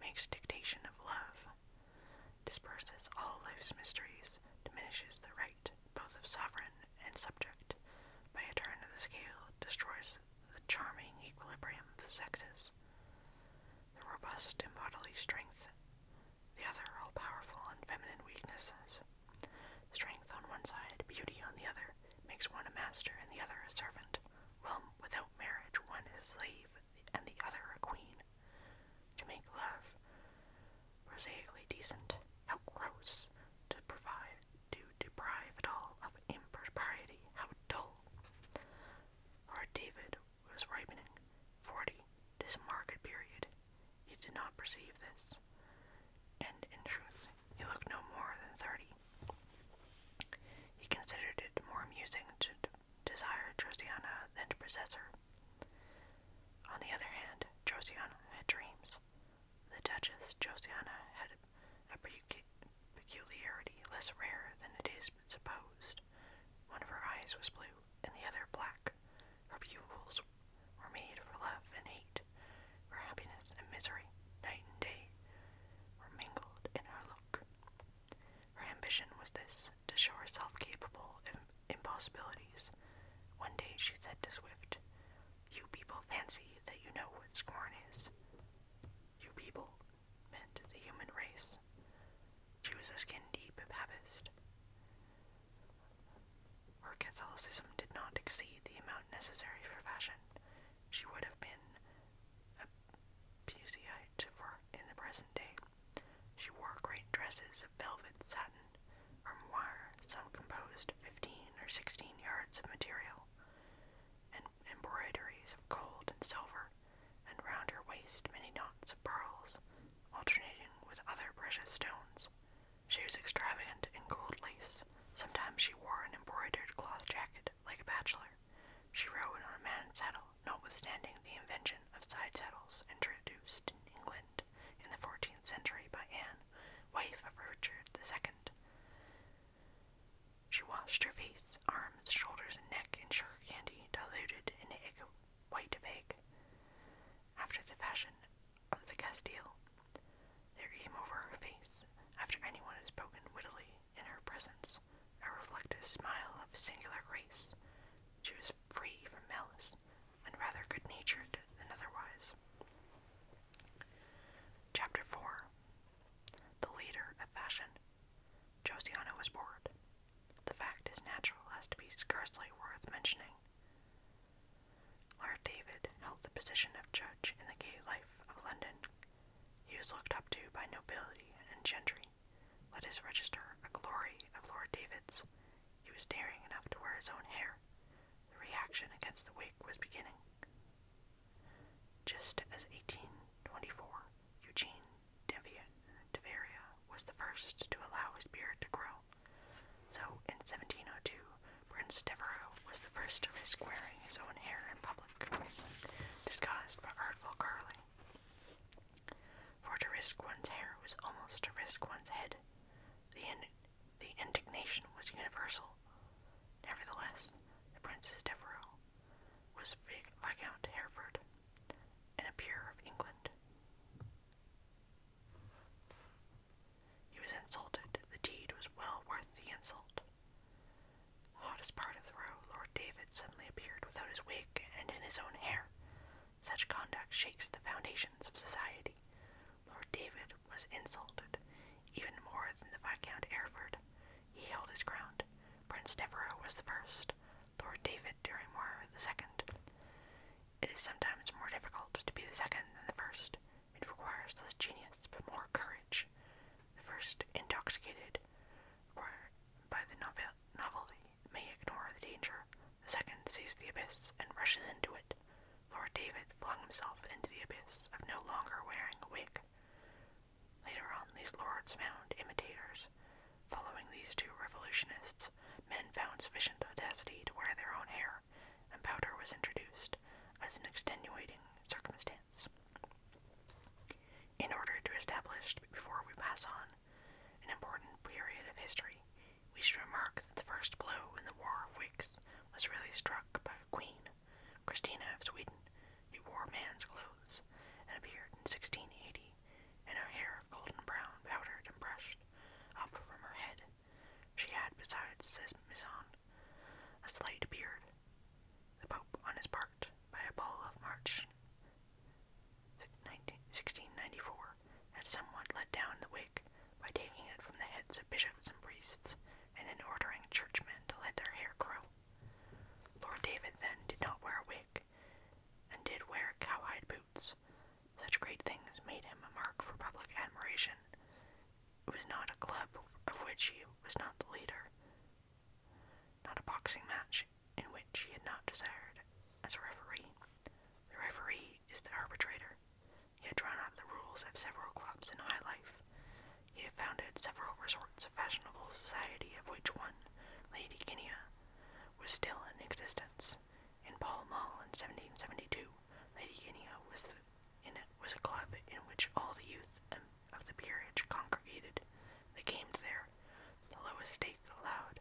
makes dictation of love, disperses all life's mysteries, diminishes the right both of sovereign and subject, by a turn of the scale destroys the charming equilibrium of the sexes, the robust in bodily strength, the other all powerful in feminine weaknesses. Strength on one side, beauty on the other, makes one a master and the other a servant, well without marriage, one a slave and the other a queen, to make love prosaically decent. How gross to provide to deprive it all of impropriety. How dull. Lord David was ripening forty this market period. He did not perceive this, and in truth, he looked no more than thirty. He considered it more amusing to desire Josiana than to possess her. On the other hand, Josiana had dreams. The Duchess Josiana had a peculiarity less rare than it is supposed. One of her eyes was blue, and the other black. Her pupils were made for love and hate, for happiness and misery, night and day were mingled in her her ambition was this to show herself capable of impossibilities. One day she said to Swift, You people fancy that you know what scorn is. You people meant the human race. She was a skin deep Papist. Her Catholicism did not exceed the amount necessary for fashion. She would have been a Puseyite for in the present day. She wore great dresses of velvet, satin, or armoire, some composed of fifteen or sixteen yards of material, and embroideries of gold and silver, and round her waist many knots of pearls, alternating with other precious stones. She was extravagant in gold lace. Sometimes she wore an embroidered cloth jacket, like a bachelor. She rode on a man saddle, notwithstanding the invention of side saddles introduced in England in the 14th century by Anne, wife of Richard II. She washed her face, arms, shoulders, and neck in sugar candy diluted in egg white of egg. After the fashion of the Castile, there came over her face, after anyone had spoken wittily in her presence, countenance a reflective smile of singular grace. She was free from malice, and rather good natured than otherwise. Chapter 4 The Leader of Fashion. Josiana was bored. The fact is natural as to be scarcely worth mentioning. Lord David held the position of judge in the gay life of London, he was looked up to by nobility and gentry. Let us register a glory of Lord David's. He was daring enough to wear his own hair. The reaction against the wig was beginning. Just as 1824, Eugene Deveria was the first to allow his beard to grow. So in 1702, Prince Devereux was the first to risk wearing his own hair in public public, by artful curling. For to risk one's hair was almost to risk one's head. The, the indignation was universal. Nevertheless, the Princess Devereux was Viscount Hereford and peer of England. He was insulted. The deed was well worth the insult. Hottest part of the row, Lord David suddenly appeared without his wig and in his own hair. Such conduct shakes the foundations of society. Lord David was insulted, even more than the Viscount Airford. He held his ground. Prince Devereux was the first, Lord David Derrymore the second. It is sometimes more difficult to be the second than the first. It requires less genius but more courage. The first intoxicated required by the novelty may ignore the danger. The second sees the abyss and rushes into it. Lord David flung himself into the abyss of no longer wearing a wig. Later on, these lords found imitators. Following these two revolutionists, men found sufficient audacity to wear their own hair, and powder was introduced as an extenuating circumstance. In order to establish, before we pass on, an important period of history, we should remark that the first blow in the War of Wigs was really struck by Queen Christina of Sweden, who wore man's clothes and appeared in 1680, and her hair of golden brown powdered and brushed up from her head. She had, besides, says Mison, a slight beard the Pope on his part by a bull of March 19, 1694 had somewhat let down the wig by taking it from the heads of bishops and priests and in ordering churchmen to let their hair grow. Lord David then did not wear a wig and did wear cowhide boots. Such great things made him a mark for public admiration. It was not a club of which he was not the leader, not a boxing match in which he had not desired as a referee. The referee is the arbitrator. He had drawn up the rules of several clubs in high life. He had founded several resorts of fashionable society, of which one, Lady Guinea, was still in existence. In Pall Mall in 1772, Lady Guinea was, in it was a club in which all the youth and of the peerage congregated. They gamed there. The lowest stake allowed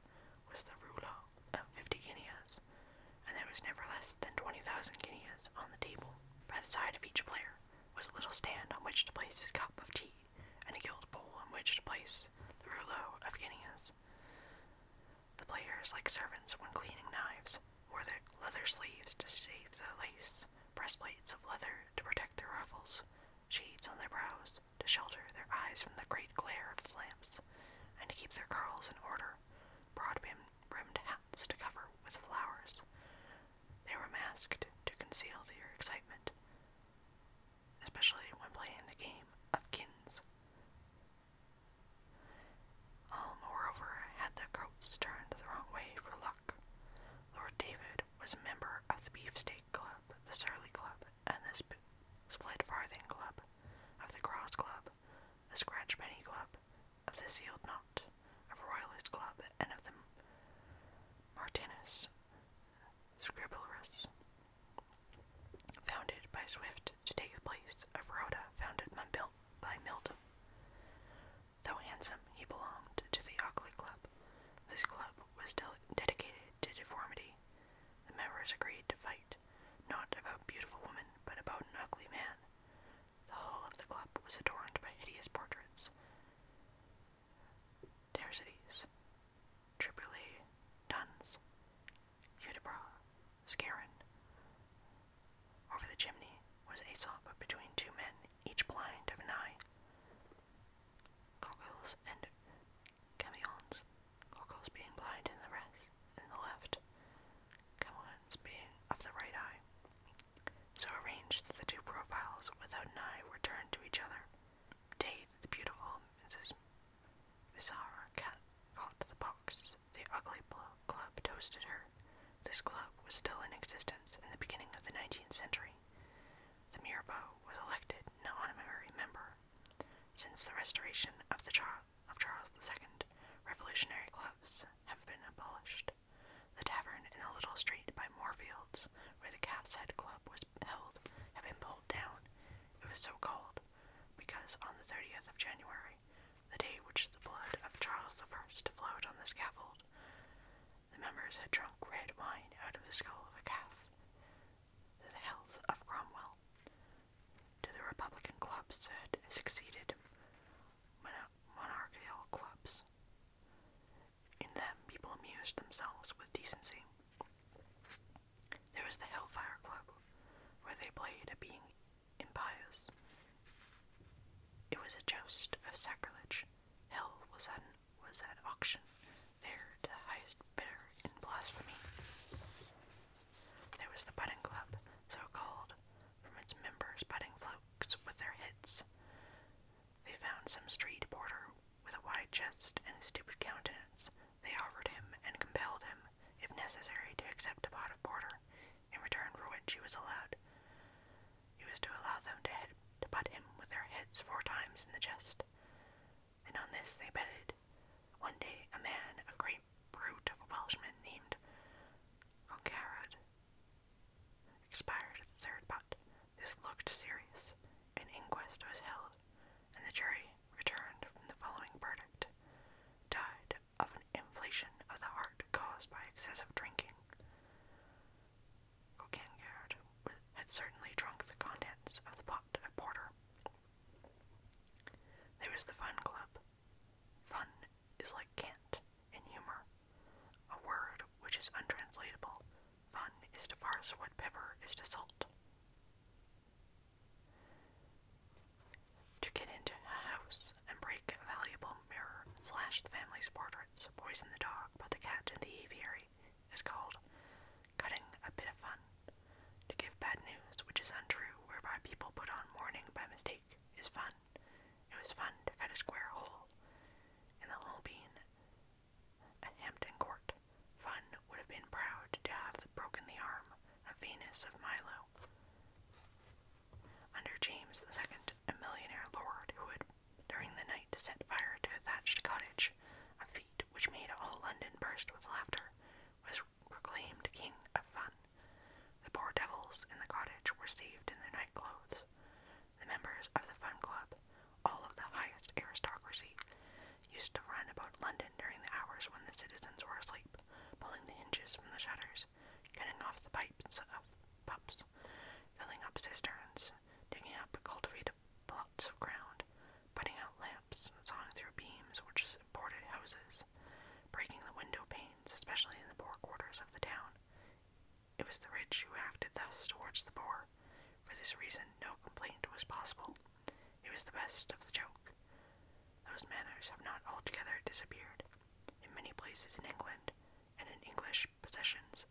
was the rouleau of fifty guineas, and there was never less than twenty thousand guineas on the table. By the side of each player was a little stand on which to place his cup of tea, and a gilt bowl on which to place the rouleau of guineas. The players, like servants when cleaning knives, wore their leather sleeves to save the lace, breastplates of leather to protect their rifles, shades on their brows to shelter their eyes from the great glare of the lamps, and to keep their curls in order, broad brimmed hats to cover with flowers. They were masked to conceal their excitement, especially when playing the game of kins. All, moreover, had their coats turned the wrong way for Lord David was a member of the Beefsteak Club, the Surly Club, and the Split Farthing Club, of the Cross Club, the Scratch Penny Club, of the Sealed Knot, of Royalist Club, and of the Martinus Scriblerus, founded by Swift to take the place of Rhoda, founded by Milton. Though handsome, he belonged to the Ockley Club, this club was dedicated to deformity. The members agreed to fight, not about beautiful women, but about an ugly man. The whole of the club was adorned by hideous portraits. Tercides, Tripoli, Duns, Hudibras, Scarin. Over the chimney was Aesop between two men, each blind of an eye. Goggles and camions. Goggles being blind in the rest, in the left. Camions being of the right eye. So arranged the two profiles without an eye were turned to each other. Dazed, the beautiful Mrs. Bizarre cat caught the box. The ugly club toasted her. This club was still in existence in the beginning of the 19th century. The Mirabeau was elected an honorary member. Since the restoration of, the Charles II, revolutionary clubs have been abolished. The tavern in the little street by Moorfields, where the Calf's Head Club was held, had been pulled down. It was so called because on the 30th of January, the day which the blood of Charles I flowed on the scaffold, the members had drunk red wine out of the skull of a calf. The health of Cromwell to the Republican clubs that succeeded monarchical clubs. In them, people amused themselves with decency. There was the Hellfire Club, where they played at being impious. It was a joust of sacrilege. Hell was at was at auction there to the highest bidder in blasphemy. There was the putting club, so called, from its members putting floats with their heads. They found some street porter with a wide chest and a stupid countenance. They offered him and compelled him, if necessary, to accept a pot of porter, in return for which he was allowed. He was to allow them to, hit, to butt him with their heads four times in the chest. And on this they betted. One day a man, a great brute of a Welshman named Concarad, expired at the third butt. This looked serious. An inquest was held, and the jury returned from the following verdict. Died of an inflation of the heart caused by excessive drinking. Coquenard had certainly drunk the contents of the pot of porter. There was the fun club. Fun is like cant in humor, a word which is untranslatable. Fun is to as what pepper is to salt. To get into a house and break a valuable mirror, slash the family's portraits, poison the dog, put the cat in the aviary, is called cutting a bit of fun. To give bad news, which is untrue, whereby people put on mourning by mistake, is fun. It was fun to cut a square hole in the whole bean at Hampton Court. Fun would have been proud to have broken the arm of Venus of Milo. Under James the Second, a millionaire lord who had during the night set fire to a thatched cottage, a feat which made all London burst with laughter, was proclaimed king of fun. The poor devils in the cottage were saved in their night clothes. The members of the fun club, all of the highest aristocracy, used to run about London during the hours when the citizens were asleep, pulling the hinges from the shutters, cutting off the pipes of pumps, filling up cisterns, digging up cultivated plots of ground, putting out lamps and sawing through beams which supported houses, breaking the window panes, especially in the poor quarters of the town. It was the rich who acted thus towards the poor. For this reason, no complaint was possible. It was the best of the joke. Those manners have not altogether disappeared. In many places in England and in English possessions,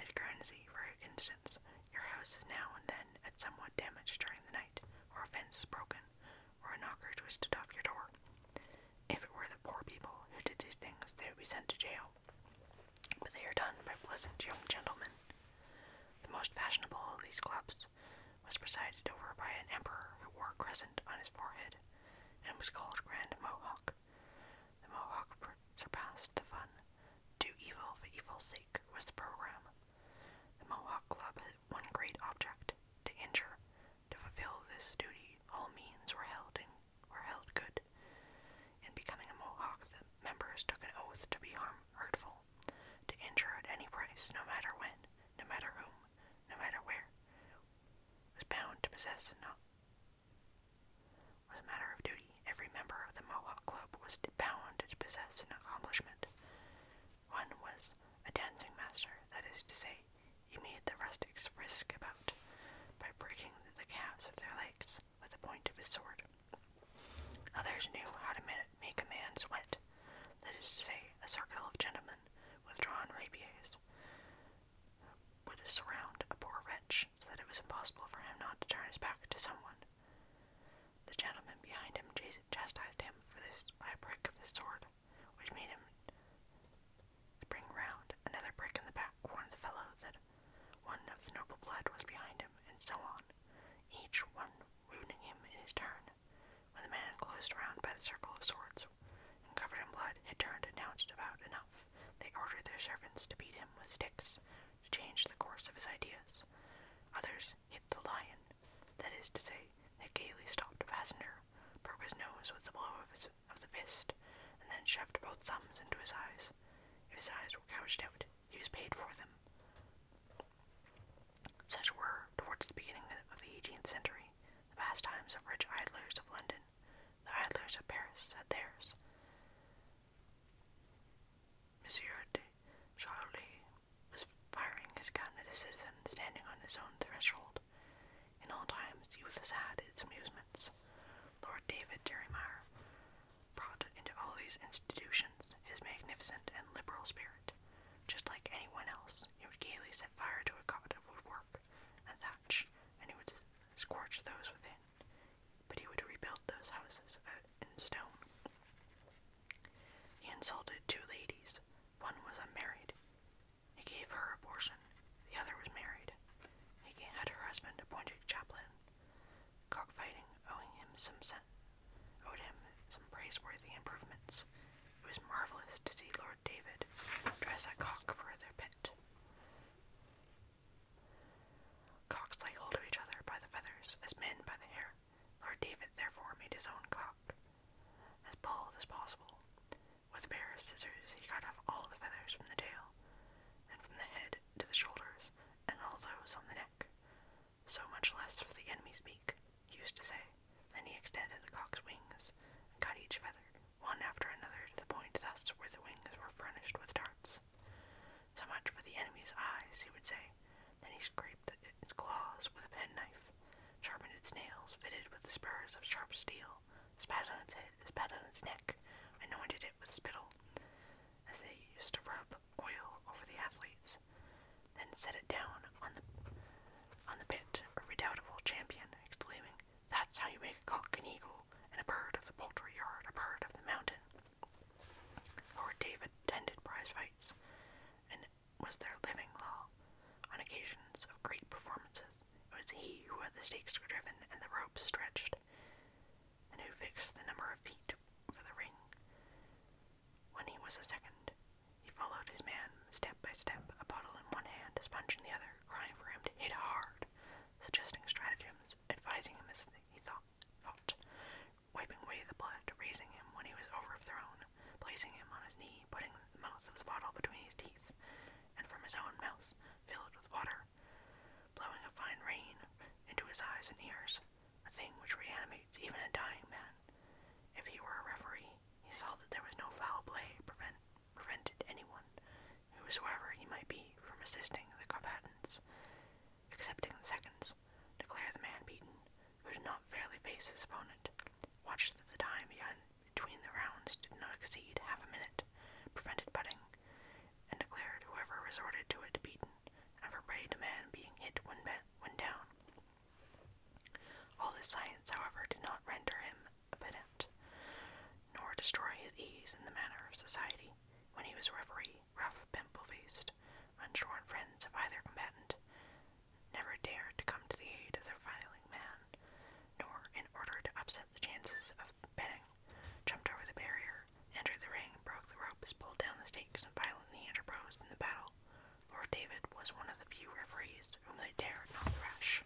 at Guernsey, for instance, your house is now and then at somewhat damaged during the night, or a fence is broken, or a knocker twisted off your door. If it were the poor people who did these things, they would be sent to jail. But they are done by pleasant young gentlemen. The most fashionable of these clubs was presided over by an emperor who wore a crescent on his forehead and was called Grand Mohawk. The Mohawk surpassed the fun do evil for evil's sake was the program. The Mohawk Club had one great object to injure. To fulfill this duty, all means were held and were held good. In becoming a Mohawk, the members took an oath to be harm, hurtful, to injure at any price, no matter when, no matter whom, no matter where. Was bound to possess not was a matter of duty. Every member of the Mohawk Club was bound to possess an accomplishment. One was a dancing master, that is to say, you made the rustics frisk about by breaking the calves of their legs with the point of his sword. Others knew how to make a man sweat, that is to say, a circle of gentlemen with drawn rapiers would surround a poor wretch so that it was impossible for him not to turn his back to someone the gentleman behind him chastised him for this by a prick of his sword, which made him spring round. Another prick in the back warned the fellow that one of the noble blood was behind him, and so on, each one wounding him in his turn. When the man closed round by the circle of swords and covered in blood had turned and announced about enough, they ordered their servants to beat him with sticks to the course of his ideas. Others hit the lion, that is to say, they gaily stopped a passenger, broke his nose with the blow of, his, of the fist, and then shoved both thumbs into his eyes. his eyes were gouged out, he was paid for them. Such were, towards the beginning of the 18th century, the pastimes of rich idlers of London. The idlers of Paris had theirs. Monsieur de Charlie was firing his gun at a citizen standing on his own threshold. In all times, youth has had its amusements. Lord David Derrymere brought into all these institutions his magnificent and liberal spirit. Just like anyone else, he would gaily set fire to a cot of woodwork and thatch, and he would scorch those within but he would rebuild those houses uh, in stone. He insulted two ladies. One was unmarried. He gave her a portion. The other was married. He had her husband appointed chaplain. Cockfighting owing him some owed him some praiseworthy improvements. It was marvelous to see Lord David dress a cock for their pit. Cocks lay hold of each other by the feathers, as men by the hair. Lord David therefore made his own cock, as bald as possible. With a pair of scissors he cut off all the feathers from the tail, and from the head to the shoulders, and all those on the neck. So much less for the enemy's beak, he used to say. Then he extended the cock's wings, and cut each feather, one after another, to the point thus where the wings were furnished with darts. So much for the enemy's eyes, he would say. Then he scraped its claws with a penknife, sharpened its nails, fitted with the spurs of sharp steel, spat on its head, spat on its neck, anointed it with spittle, as they used to rub oil over the athletes, then set it down on the on the pit, a redoubtable champion, exclaiming, That's how you make a cock an eagle, and a bird of the poultry yard, a bird of the mountain. Lord David attended prize fights and was their living law. On occasions of great performances, it was he who had the stakes driven and the ropes stretched, and who fixed the number of feet for the ring. When he was a second, he followed his man step by step, a bottle in one hand, a sponge in the other, crying for him to hit hard, suggesting stratagems, advising him as he thought, fought, wiping away the blood, raising him when he was overthrown, placing him on his knee, putting the mouth of the bottle between his teeth, and from his own mouth, filled with water, blowing a fine rain into his eyes and ears, a thing which reanimates even a dying man. If he were a referee, he saw that there was no foul play prevent, prevented anyone, whosoever he might be, from assisting the combatants accepting in seconds, declare the man beaten, who did not fairly face his opponent. Watch that the time between the rounds did not exceed half a minute, prevented butting, and declared whoever resorted to it beaten, and forbade a man being hit when, when down. All this science, however, did not render him a pedant, nor destroy his ease in the manner of society when he was referee, swarthy, rough, pimple-faced, unshorn friends of either combatant, never dared to come to the aid of their filing man, nor, in order to upset the chances of betting, jumped over the barrier, entered the ring, broke the ropes, pulled down the stakes, and violently interposed in the battle. Lord David was one of the few referees whom they dared not thrash.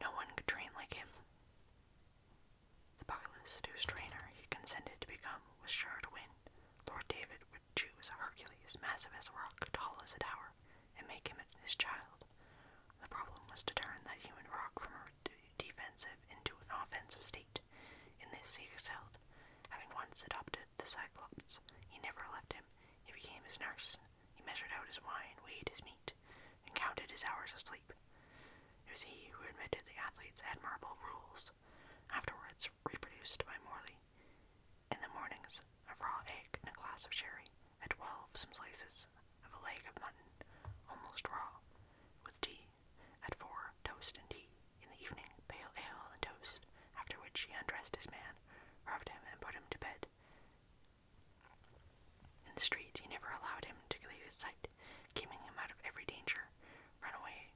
No one could train like him. The Bucklist, whose trainer he consented to become, was sure to win. Lord David would choose Hercules, massive as a rock, tall as a tower, and make him his child. The problem was to turn that human rock from a defensive into an offensive state. In this he excelled. Having once adopted the Cyclops, he never left him. He became his nurse. He measured out his wine, weighed his meat, and counted his hours of sleep. It was he who invented the athlete's admirable rules, afterwards reproduced by Morley. In the mornings, a raw egg and a glass of sherry. At twelve, some slices of a leg of mutton, almost raw, with tea. At four, toast and tea. In the evening, pale ale and toast, after which he undressed his man, rubbed him, and put him to bed. In the street, he never allowed him to leave his sight, keeping him out of every danger. Runaway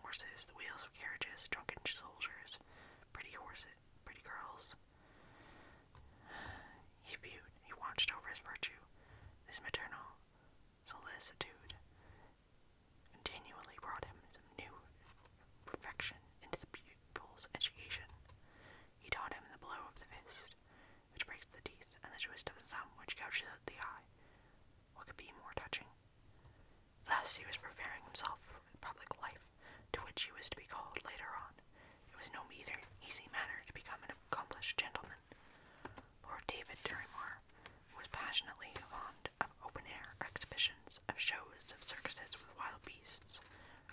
horses, the wheels of carriages, drunken soldiers, pretty horses, pretty girls. He viewed, he watched over his virtue, his maternal solicitude continually brought him new perfection into the pupil's education. He taught him the blow of the fist, which breaks the teeth, and the twist of the thumb, which gouges the eye. What could be more touching? Thus he was preparing himself for public life, to which he was to be called later on. It was no either easy matter to become an accomplished gentleman. Lord David Dirrymore was passionately fond of open-air exhibitions, of shows, of circuses with wild beasts,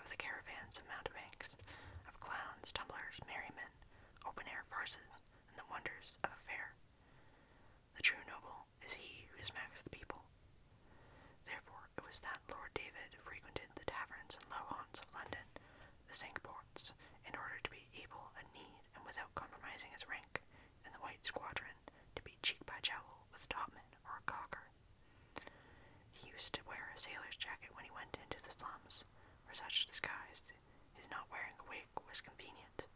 of the caravans of mountebanks, of clowns, tumblers, merrymen, open-air farces, and the wonders of affair. The true noble is he who smacks the people. Therefore it was that Lord David frequented the taverns and low haunts of London, the sink ports, in order to be able and need, and without compromising his rank, in the white squadron, to be cheek by jowl with a topman or a cocker. He used to wear a sailor's jacket when he went into the slums, for such disguise his not wearing a wig was convenient.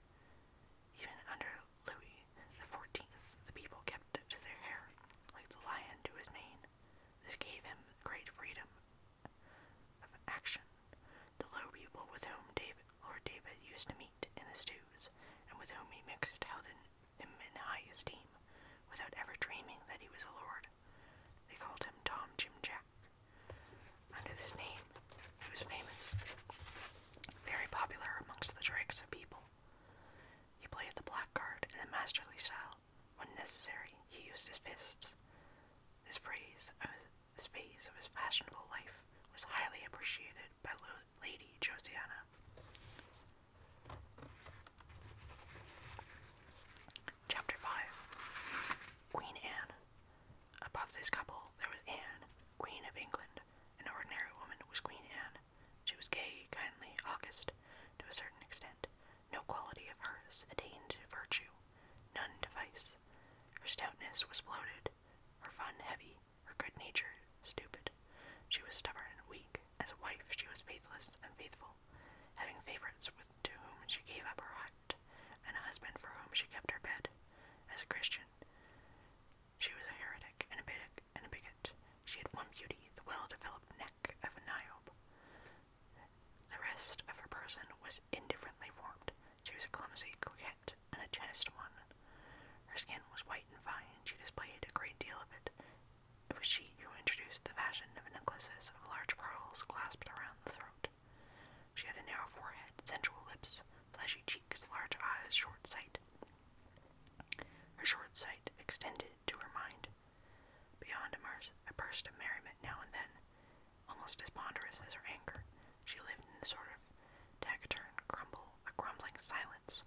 Even under Louis the Fourteenth, the people kept to their hair, like the lion to his mane. This gave him great freedom of action. The low people with whom David, Lord David used to meet in the stews, and with whom he mixed, held him in high esteem, without ever dreaming that he was a lord. They called him Tom Jim Jack. Under this name, he was famous, very popular amongst the dregs of people. He played the blackguard in a masterly style. When necessary, he used his fists. His phrase, of his, this of his fashionable life, was highly appreciated by Lady Josiana. Chapter 5 Queen Anne Above this couple there was Anne, Queen of England. An ordinary woman was Queen Anne. She was gay, kindly, august, to a certain extent. No quality of hers attained to virtue, none to vice. Her stoutness was bloated, her fun heavy, her good nature stupid. She was stubborn and weak. As a wife, she was faithless and faithful. Having favorites to whom she gave up her hut, and a husband for whom she kept her bed. As a Christian, she was a heretic and a, bigot, bigot. She had one beauty, the well-developed neck of a niobe. The rest of her person was indifferently formed. She was a clumsy coquette and a chaste one. Her skin was white and fine, and she displayed a great deal of it. It was she who introduced the fashion of necklaces of large pearls clasped around the throat, she had a narrow forehead, sensual lips, fleshy cheeks, large eyes, short sight. Her short sight extended to her mind, beyond a, a burst of merriment now and then, almost as ponderous as her anger. She lived in a sort of taciturn crumble, a grumbling silence.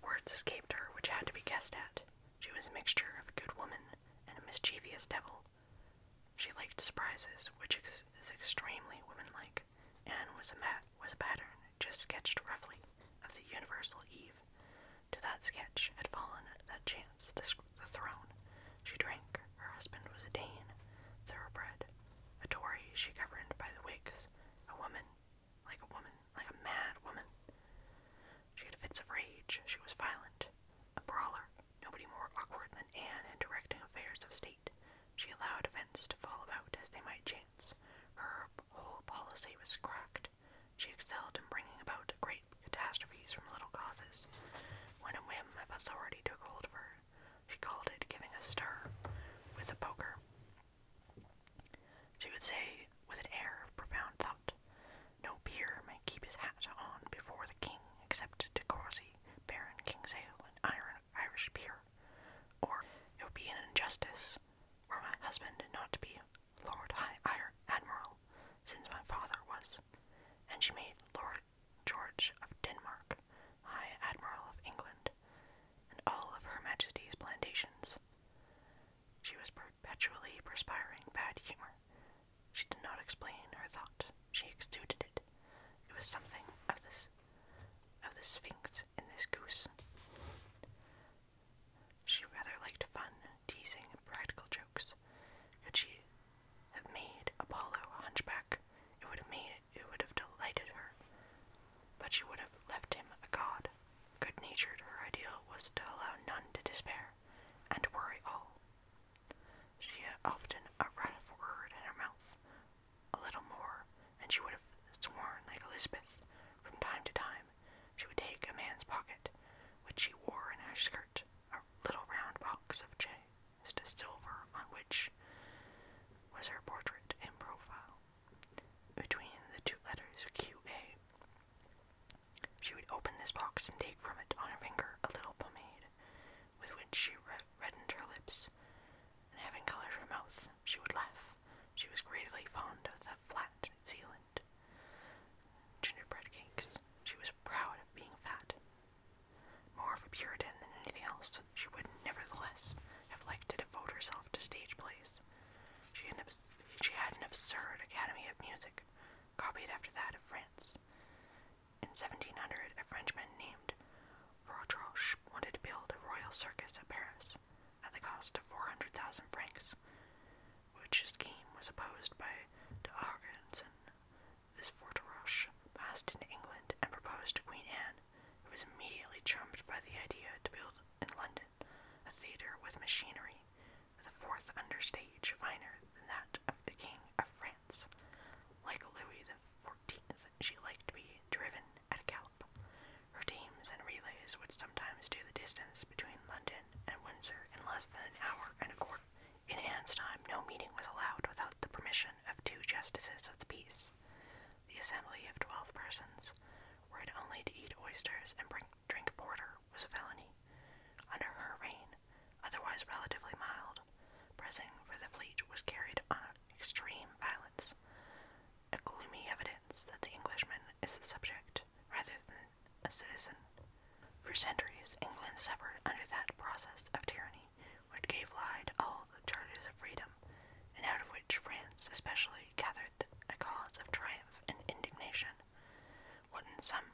Words escaped her which had to be guessed at. She was a mixture of a good woman and a mischievous devil, she liked surprises, which is extremely womanlike, and was a mat was a pattern just sketched roughly of the universal Eve. To that sketch had fallen that chance the, the throne. She drank. Her husband was a Dane, thoroughbred, a Tory. She governed by the Whigs, a woman, like a woman, like a mad woman. She had fits of rage. She was violent. A brawler, nobody more awkward than Anne in directing affairs of state. She allowed events to fall about as they might chance. Her whole policy was cracked. She excelled in bringing about great catastrophes from little causes. When a whim of authority took hold of her, she called it giving a stir with a poker. She would say, with an air of profound thought, No peer may keep his hat on before the king except De Courcy Baron Kingsale and Iron Irish Peer, or it would be an injustice for my husband not to be Lord High Admiral, since my father was, and she made Lord George of Denmark High Admiral of England, and all of Her Majesty's plantations. She was perpetually perspiring bad humor, she did not explain her thought. She exuded it. It was something of this of this Sphinx and this goose. She rather liked fun, teasing, practical jokes. Could she have made Apollo a hunchback, it would have made it would have delighted her. But she would have left him a god. Good natured, her ideal was to allow none to despair, and worry all. She had often a wrathful word in her mouth, a little more, and she would have sworn, like Elizabeth, from time to time, she would take a man's pocket, which she wore in her skirt, a little round box of chased silver on which was her portrait in profile. Between the two letters QA, she would open this box and take from it on her finger a little pomade, with which she reddened her lips, and having colored her mouth, she would laugh. She was greatly fond of the flat Zealand gingerbread cakes. She was proud of being fat. More of a Puritan than anything else, she would nevertheless have liked to devote herself to stage plays. she had an absurd academy of music, copied after that of France. In 1700, a Frenchman named Rodroche wanted to build a royal circus at Paris at the cost of 400,000 francs, which scheme was opposed by de Argenson. This Forteroche passed into England and proposed to Queen Anne, who was immediately charmed by the idea to build in London a theatre with machinery, with a fourth understage finer than that of the King of France. Like Louis XIV, she liked to be driven at a gallop. Her teams and relays would sometimes do the distance between London and Windsor in less than an hour and a quarter. In Anne's time, no meeting was allowed without the permission of two justices of the peace. The assembly of twelve persons, were it only to eat oysters and drink porter, was a felony. Under her reign, otherwise relatively mild, Pressing for the fleet was carried on extreme violence, a gloomy evidence that the Englishman is the subject rather than a citizen. For centuries, England suffered under that process of tyranny which gave lie to all the charges of freedom, and out of which France especially gathered a cause of triumph and indignation. What in some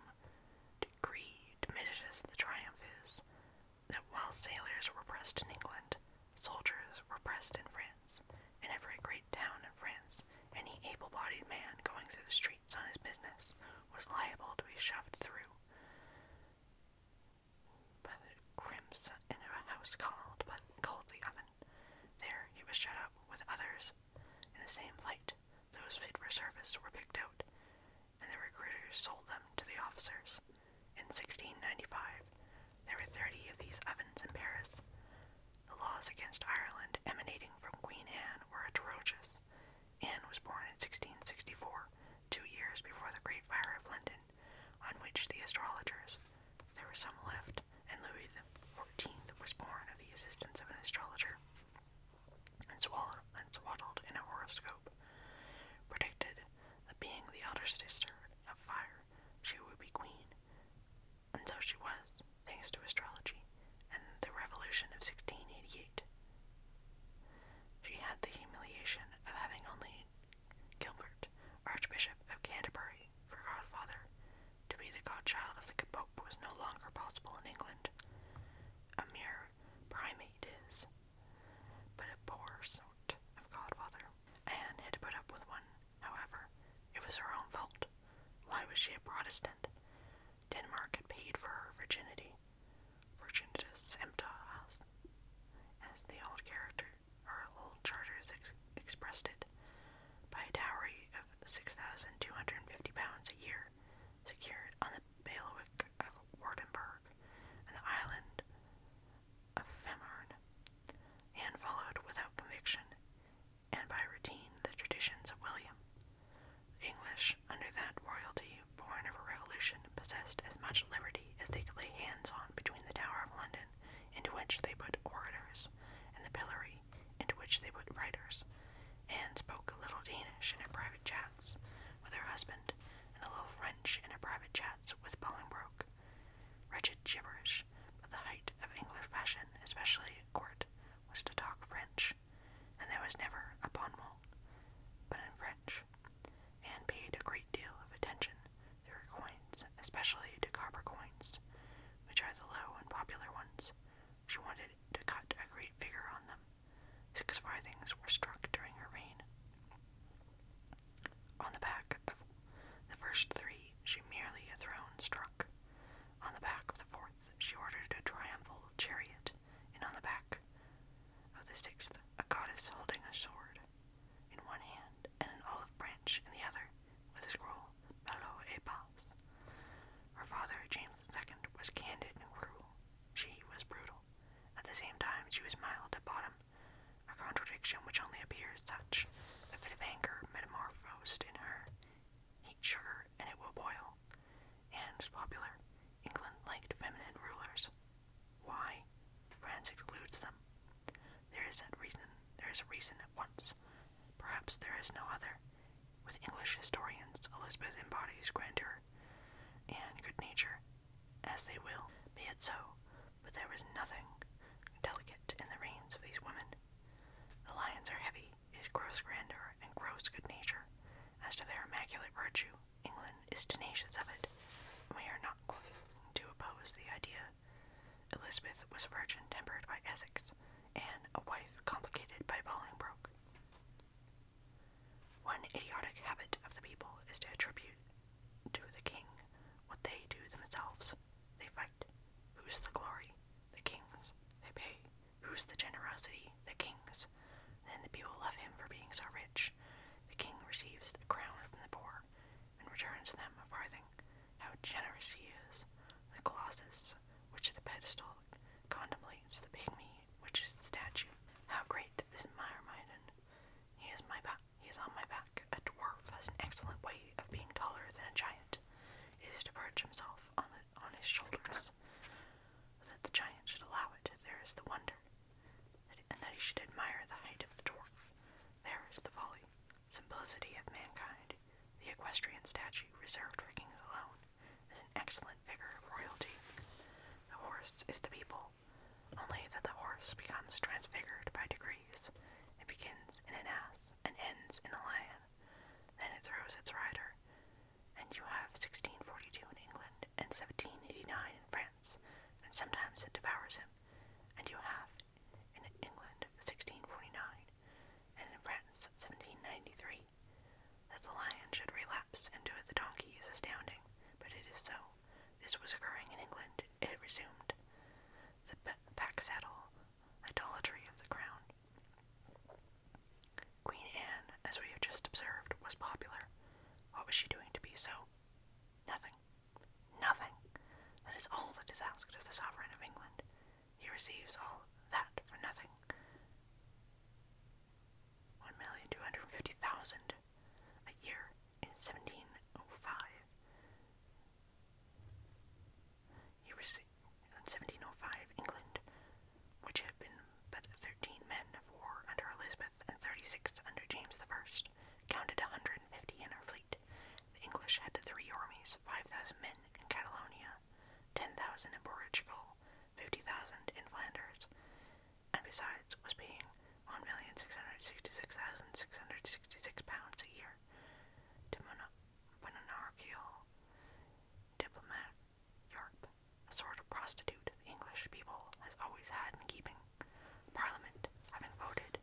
degree diminishes the triumph is, that while sailors were pressed in England, soldiers were pressed in France, In every great town in France, any able bodied man going through the streets on his business was liable to be shoved through by the in a house called, but called oven. There he was shut up with others in the same light. Those fit for service were picked out, and the recruiters sold them to the officers. In 1695, there were 30 of these ovens in Paris. The laws against Ireland emanating from Queen Anne were atrocious. Anne was born in 1664, two years before the Great Fire of London, on which the astrologers, there were some left, and Louis XIV was born of the assistance of an astrologer and swallowed, and swaddled in a horoscope, predicted that being the elder sister of fire, she would be queen. And so she was, thanks to astrology and the revolution of 1688. She had the humiliation of having only Gilbert, Archbishop of Canterbury, for godfather. To be the godchild of the Pope was no longer possible in England. A mere primate is, but a poor sort of godfather. Anne had put up with one, however. It was her own fault. Why was she a Protestant? Denmark had paid for her virginity. Virginitas empta us, as the old character or old charters expressed it, by a dowry of six thousand two hundred and fifty pounds a year, secured on the the bailiwick of Wardenburg and the island of Femern. Anne followed without conviction and by routine the traditions of William. The English, under that royalty born of a revolution, possessed as much liberty as they could lay hands on between the Tower of London, into which they put orators, and the pillory, into which they put writers. Anne spoke a little Danish in her private chat with her husband and a little French in her private chats with Bolingbroke. Wretched gibberish, but the height of English fashion, especially court, was to talk French, and there was never a bon mot, but in French. Anne paid a great deal of attention to her coins, especially to copper coins, which are the low and popular ones. She wanted to cut a great figure on them, Six farthings were struck during her reign. On the back of the first three, she merely a throne struck. On the back of the fourth, she ordered a triumphal chariot, and on the back of the sixth, a goddess holding a sword in one hand and an olive branch in the other, with a scroll, Bello et Paz. Her father, James II, was candid and cruel. She was brutal. At the same time, she was mild at bottom, a contradiction which only appears such. A fit of anger metamorphosed in her. Heat sugar and it will boil. And was popular. England liked feminine rulers. Why? France excludes them. There is a reason. There is a reason at once. Perhaps there is no other. With English historians, Elizabeth embodies grandeur and good nature, as they will, be it so, but there is nothing delicate in the reins of these women. The lions are heavy, it is gross grandeur and gross good nature. As to their immaculate virtue, England is tenacious of it, we are not going to oppose the idea. Elizabeth was a virgin tempered by Essex, and a wife complicated by Bolingbroke. One idiotic habit of the people is to attribute to the king what they do themselves. They fight. Whose the glory? The king's. They pay. Whose the generosity? The king's. Then the people love him for being so rich. The king receives the crown from the poor and returns them a farthing. How generous he is! The colossus, which the pedestal contemplates, the pygmy, which is the statue. How great this Myrmidon, he is my back. He is on my back. A dwarf has an excellent way of being taller than a giant. is to perch himself on the, on his shoulders. That the giant should allow it, there is the wonder, and that he should admire the height of the dwarf. There is the folly, simplicity of mankind. The equestrian statue reserved for kings alone is an excellent figure of royalty. The horse is the people, only that the horse becomes transfigured by degrees. It begins in an ass and ends in a lion. Then it throws its rider. And you have 1642 in England and 1789 in France, and sometimes it devours him. And you have in England 1649 and in France 1793. That the lion should relapse into the donkey is astounding, but it is so this was occurring in England, it resumed the pack saddle idolatry of the crown. Queen Anne, as we have just observed, was popular. What was she doing to be so? Nothing. Nothing. That is all that is asked of the sovereign of England. He receives all that for nothing. 1,250,000 a year in 1705. He received, in 1705, England, which had been but 13 men of war under Elizabeth and 36 under James the first, counted 150 in her fleet. The English had three armies, 5,000 men in Catalonia, 10,000 in Portugal, 50,000 in Flanders, and besides was paying £1,666,666 pounds a year to monarchical diplomat Europe, a sort of prostitute English people has always had in keeping. Parliament, having voted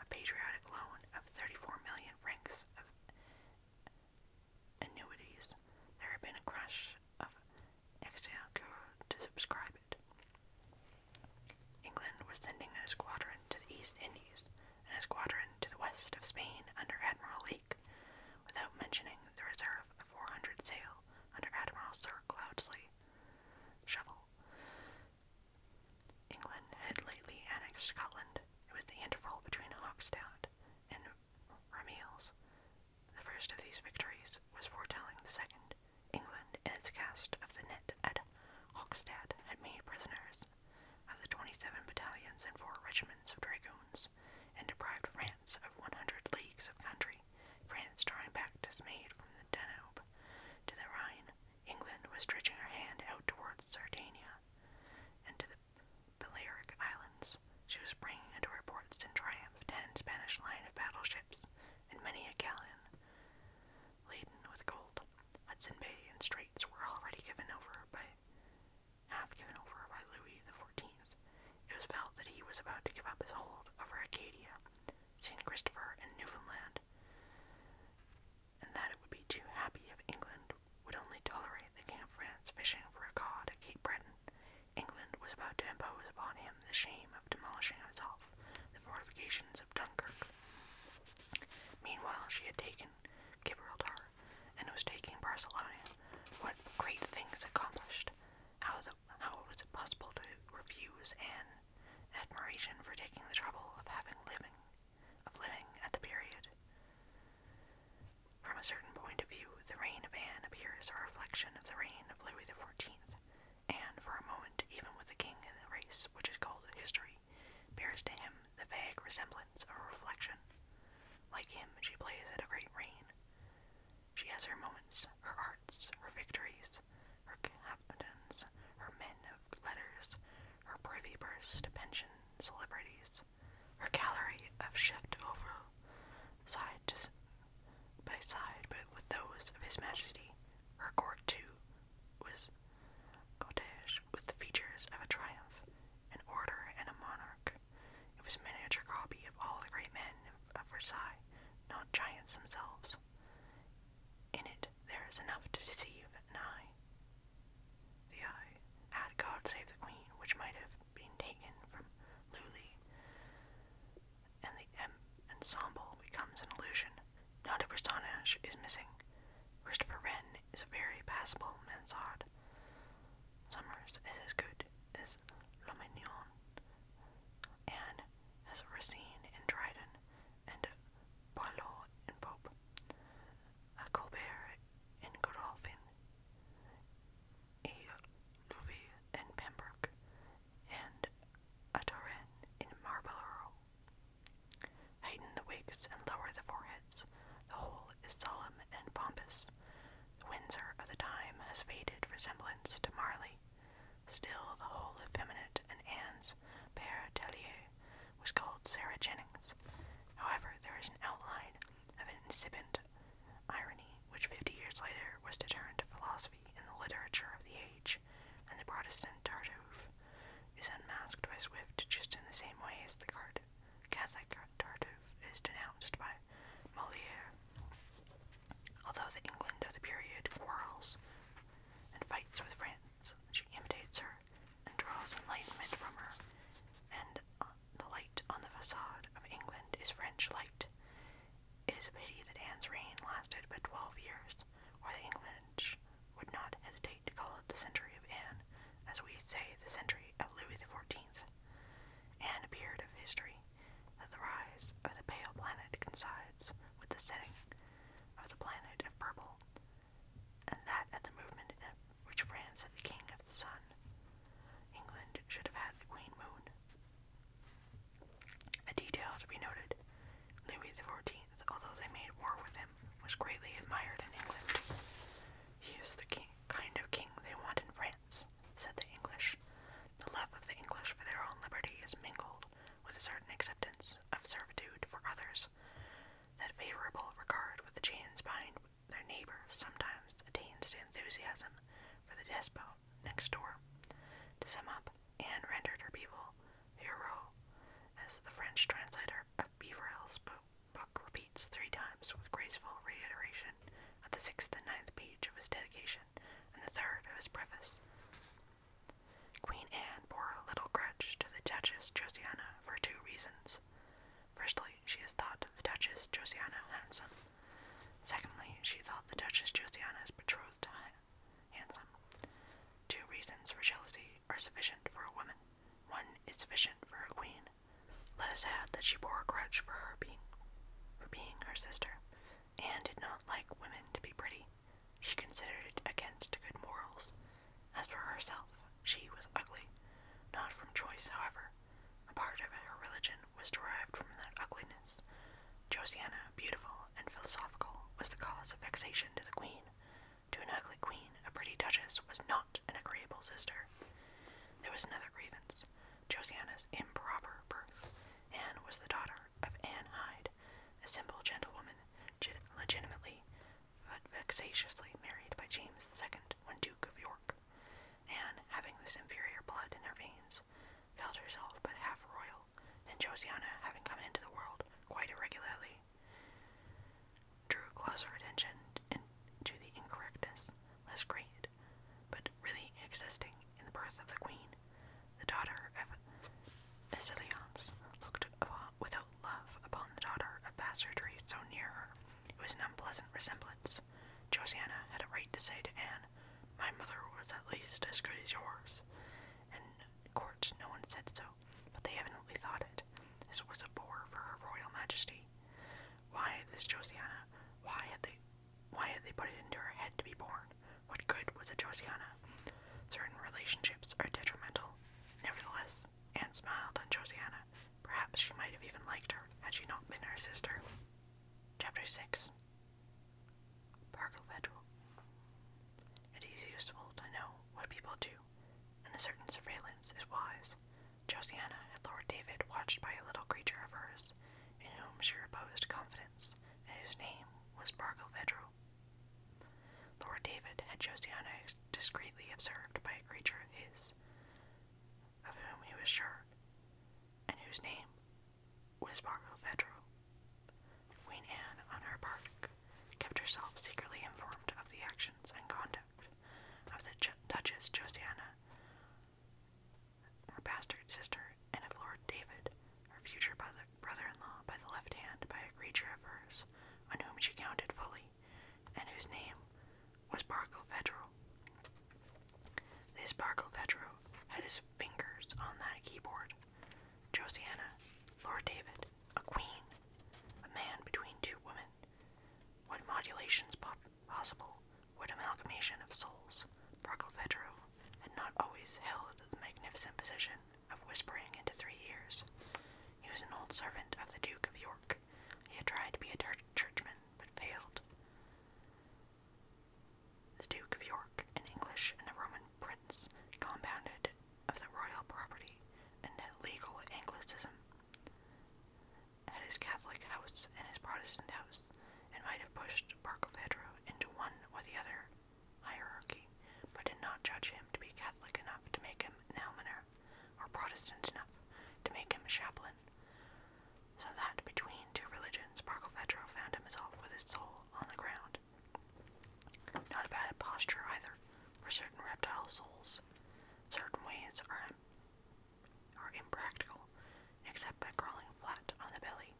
a patriotic loan of 34 million francs of annuities, there had been a crush of exchequer to subscribe England was sending a squadron to the East Indies and a squadron to the west of Spain under Admiral Lake, without mentioning the reserve of 400 sail under Admiral Sir Cloudesley. Shovel. England had lately annexed Scotland. It was the interval between Hochstadt and Ramillies. The first of these victories was foretelling the second. England, in its cast of the net at Hockstad, had made prisoners of the 27 battalions and four regiments of dragoons, and deprived France of 100 leagues of country. France drawing back dismayed from the Danube to the Rhine. England was stretching her hand out towards Sardinia and to the Balearic Islands. She was bringing into her ports in triumph ten Spanish line of battleships and many a gallon laden with gold. Hudson Bay and Straits were already given over by half given over by Louis the Fourteenth. It was felt that he was about to give up his hold over Acadia, St. Christopher, and Newfoundland, and that it would be too happy if England would only tolerate the King of France fishing for a cod at Cape Breton. England was about to impose upon him the shame demolishing herself the fortifications of Dunkirk. Meanwhile, she had taken Gibraltar and was taking Barcelona. What great things accomplished! How, the, how was it possible to refuse an admiration for taking the trouble of having living, of living at the period? From a certain point of view, the reign of Anne appears a reflection of the reign of Louis the Fourteenth and for a moment even with the king in the race which is called history, bears to him the vague resemblance of reflection. Like him, she plays at a great reign. She has her moments, her arts, her victories, her captains, her men of letters, her privy purse to pension celebrities, her gallery of shift over side to by side but with those of His Majesty. Her court, too, was cortege with the features of a triumph, an order, and a monarch. It was a miniature copy of all the great men of Versailles, not giants themselves. In it there is enough to deceive an eye. The eye, had God save the Queen, which might have been taken from Lully, and the ensemble becomes an illusion. Not a is missing. Christopher Wren is a very passable mansard. Summers is as good as Lomignon, and as Racine and Dryden, and Boileau and Pope, a Colbert and Godolphin, a Louis and Pembroke, and a torin in marble. Heighten the wigs and lower the foreheads. The whole is solemn and pompous. The Windsor of the time has faded resemblance to Marley. Still, the whole effeminate and Anne's père Tellier was called Sarah Jennings. However, there is an outline of an incipient irony which fifty years later was to turn to philosophy in the literature of the age, and the Protestant Tartuffe is unmasked by Swift just in the same way as the Catholic Tartuffe is denounced by Moliere. Although the England of the period quarrels and fights with France, she imitates her and draws enlightenment from her, and uh, the light on the facade of England is French light, it is a pity that Anne's reign lasted but twelve years, or the English would not hesitate to call it the century of Anne, as we say the century of Louis XIV. Anne appeared of history that the rise of the pale planet coincides with the setting of the planet of purple, and that at the movement of which France had the king of the sun, England should have had the queen moon. A detail to be noted Louis XIV, although they made war with him, was greatly admired in England. He is the king, kind of king they want in France, said the English. The love of the English for their own liberty is mingled with a certain acceptance of servitude for others. That favorable regard with the chains behind their neighbors sometimes attains to enthusiasm for the despot next door, to sum up, Anne rendered her people hero, as the French translator of Beaverell's book repeats three times with graceful reiteration at the sixth and ninth page of his dedication and the third of his preface. Queen Anne bore a little grudge to the Duchess Josiana for two reasons. Firstly, she thought the Duchess Josiana handsome. Secondly, she thought the Duchess Josiana's betrothed handsome. Two reasons for jealousy are sufficient for a woman. One is sufficient for a queen. Let us add that she bore a grudge for her being for being her sister, and did not like women to be pretty. She considered it against good morals. As for herself, she was ugly, not from choice, however. A part of her religion was derived from that ugliness. Josiana beautiful, and philosophical, was the cause of vexation to the queen. To an ugly queen, a pretty duchess was not an agreeable sister. There was another grievance, Josiana's improper birth. Anne was the daughter of Anne Hyde, a simple gentlewoman, legitimately but vexatiously married by James II when Duke of York. Anne, having this inferior blood in her veins, felt herself but half royal and Josiana having come into the world quite irregularly, drew closer attention to the incorrectness, less great, but really existing in the birth of the queen, the daughter of Acilions looked upon, without love upon the daughter of bastardy so near her. It was an unpleasant resemblance. Josiana had a right to say to Anne, My mother was at least as good as yours and court no one said so, but they evidently thought it. This was a bore for her royal majesty. Why this Josiana? Why had they why had they put it into her head to be born? What good was a Josiana? Certain relationships are detrimental. Nevertheless, Anne smiled on Josiana. Perhaps she might have even liked her had she not been her sister. Chapter 6 Parcovederal. It is useful to know what people do, and a certain surveillance is wise. Josiana and Lord David watched by a little creature of hers, in whom she reposed confidence, and whose name was Barcovedro. Lord David had Josiana discreetly observed by a creature of his, of whom he was sure, and whose name was Barcovedro. Queen Anne, on her part, kept herself secretly informed of the actions and conduct of the Duchess Josiana, her bastard sister, and of Lord David, her future brother-in-law by the left hand, by a creature of hers, on whom she counted fully, and whose name was Barkilphedro. This Barkilphedro had his fingers on that keyboard Josiana, Lord David, a queen, a man between two women. What modulations possible? What amalgamation of souls? Barkilphedro had not always held the magnificent position of whispering into three ears. He was an old servant of the Duke of York. He had tried to be a churchman, but failed. The Duke of York, an English and a Roman prince, compounded of the royal property and legal Anglicism, had his Catholic house and his Protestant house, and might have pushed Barkilphedro into one or the other hierarchy, but did not judge him to be Catholic enough to make him an almoner, or Protestant enough to make him a chaplain, so that between two religions Barkilphedro found himself with his soul on the ground, not a bad posture either, For certain reptile souls, certain ways are, are impractical, except by crawling flat on the belly.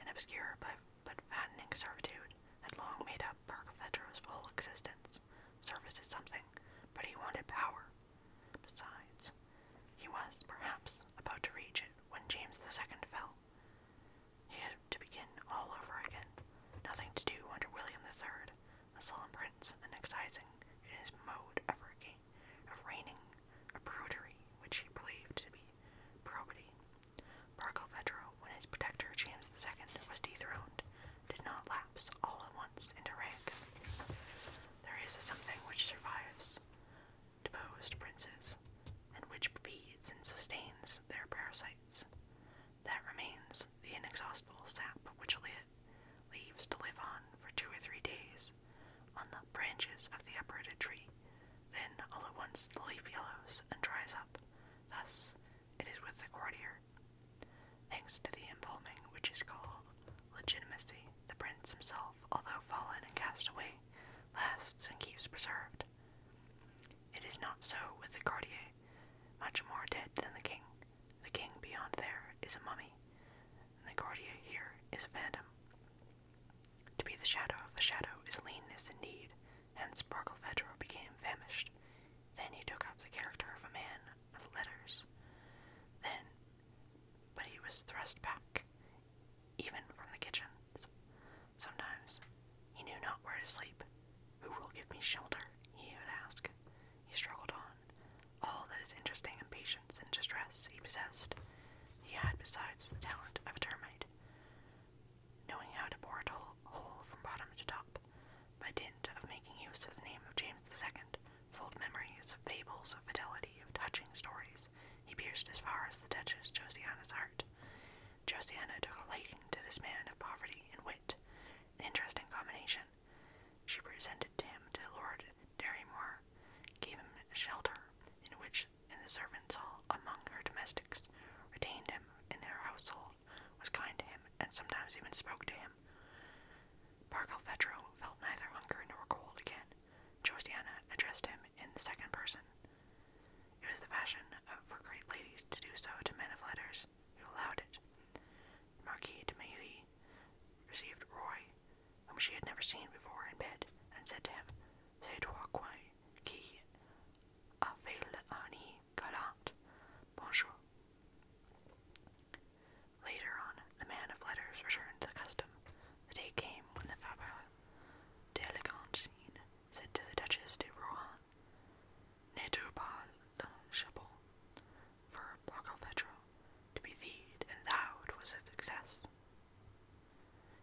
An obscure but, but fattening servitude had long made up Barkafetro's full existence. Service is something, but he wanted power. Besides, he was, perhaps, about to reach it when James the Second fell. He had to begin all over again. Nothing to do under William III, a solemn prince and excising in his mode of, reign, of reigning a prudery which he believed to be probity. Barkilphedro, when his protector James II was dethroned, did not lapse all at once into ranks. There is something which survives deposed princes, and which feeds and sustains their parasite. That remains the inexhaustible sap which leaves to live on for two or three days on the branches of the uprooted tree. Then all at once the leaf yellows and dries up. Thus it is with the courtier. Thanks to the embalming which is called legitimacy, the prince himself, although fallen and cast away, lasts and keeps preserved. It is not so with the courtier, much more dead than the king. The king beyond there is a mummy, and the courtier here is a phantom. To be the shadow of a shadow is leanness indeed, hence Barkilphedro became famished. Then he took up the character of a man of letters. Then, but he was thrust back, even from the kitchen. Sometimes he knew not where to sleep. Who will give me shelter? he would ask. He struggled on. All that is interesting in patience and distress he possessed. He had, besides, the talent of a termite, knowing how to bore a hole from bottom to top. By dint of making use of the name of James II, full of memories, of fables, of fidelity, of touching stories, he pierced as far as the Duchess Josiana's heart, Josiana took a liking to this man of poverty and wit, an interesting combination. She presented him to Lord Derrymore, gave him shelter, in which and the servants' all among her domestics, retained him in her household, was kind to him, and sometimes even spoke to him. Barkilphedro felt neither hunger nor cold again. Josiana addressed him in the second person, it was the fashion for great ladies to do so to men of letters who allowed it. The Marquis de Mailly received Roy, whom she had never seen before, in bed, and said to him, C'est toi qui a fait l'année galante. Bonjour. Later on, the man of letters returned to the custom. The day came when the Faber d'Elegantine said to the Duchess de Rohan, "Ne tu pas le chabot for Barkilphedro to be theed, and thou it was a success?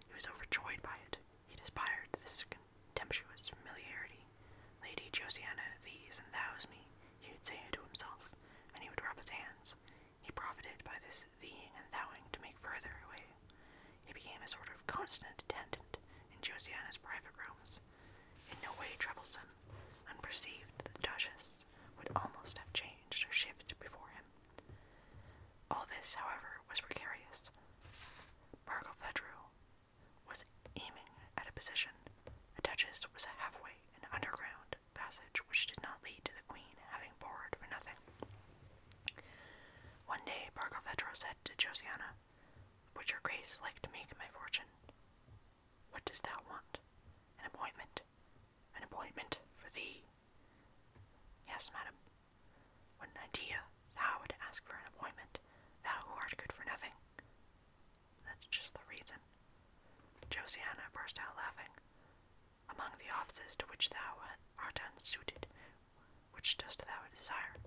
He was overjoyed by it. He despired this contemptuous familiarity. Lady Josiana, thee's and thou's me, he would say it to himself, and he would rub his hands. He profited by this theeing and thouing to make further away he became a sort of constant attendant in Josiana's private rooms. In no way troublesome, unperceived, the Duchess would almost have changed or shifted before him. All this, however, was precarious. Margot Fedrew was aiming at a position. The Duchess was halfway in an underground passage which did not lead to the Queen having bored for nothing. One day, Margot Fedrew said to Josiana, would your grace like to make my fortune? What dost thou want? An appointment. An appointment for thee. Yes, madam. What an idea thou wouldst ask for an appointment, thou who art good for nothing. That's just the reason. Josiana burst out laughing. Among the offices to which thou art unsuited, which dost thou desire?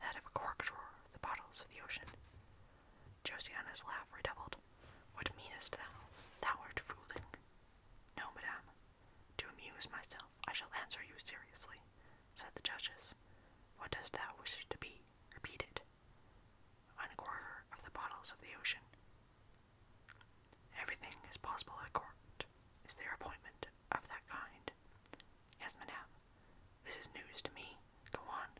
that of a cork drawer, the bottles of the ocean. Josiana's laugh redoubled. What meanest thou? Thou art fooling. No, madame. To amuse myself, I shall answer you seriously, said the duchess. What dost thou wish to be? Repeat it. One of the bottles of the ocean. Everything is possible at court, is there appointment of that kind? Yes, This is news to me. Go on.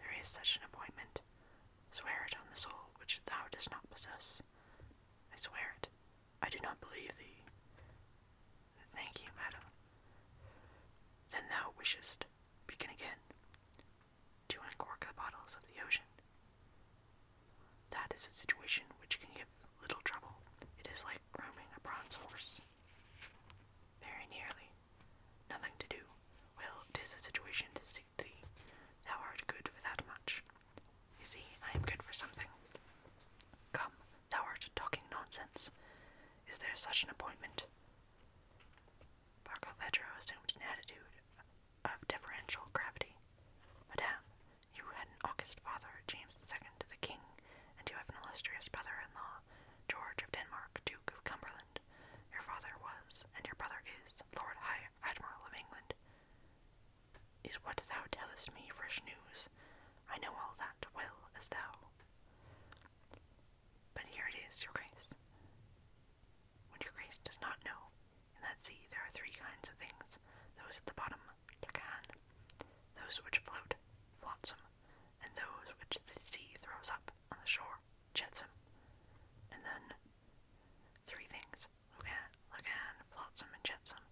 There is such an appointment. Swear it on the soul which thou dost not possess. I swear it. I do not believe thee. Thank you, madam. Then thou wishest, begin again, to uncork the bottles of the ocean. That is a situation which can little trouble. It is like grooming a bronze horse. Very nearly. Nothing to do. Well, a situation to suit thee. Thou art good for that much. You see, I am good for something. Come, thou art talking nonsense. Is there such an appointment? Barkilphedro assumed an attitude of deferential gravity. Madame, you had an august father, James II, the king, and you have an illustrious brother in law, George of Denmark, Duke of Cumberland. Your father was, and your brother is, Lord High Admiral of England. Is what thou tellest me fresh news? I know all that well as thou. But here it is, your grace. What your grace does not know, in that sea there are three kinds of things those at the bottom, Lacan, those which float, flotsam, and those which the sea throws up on the shore, jetsam. And then three things, Lugan, Lugan, flotsam, and jetsam,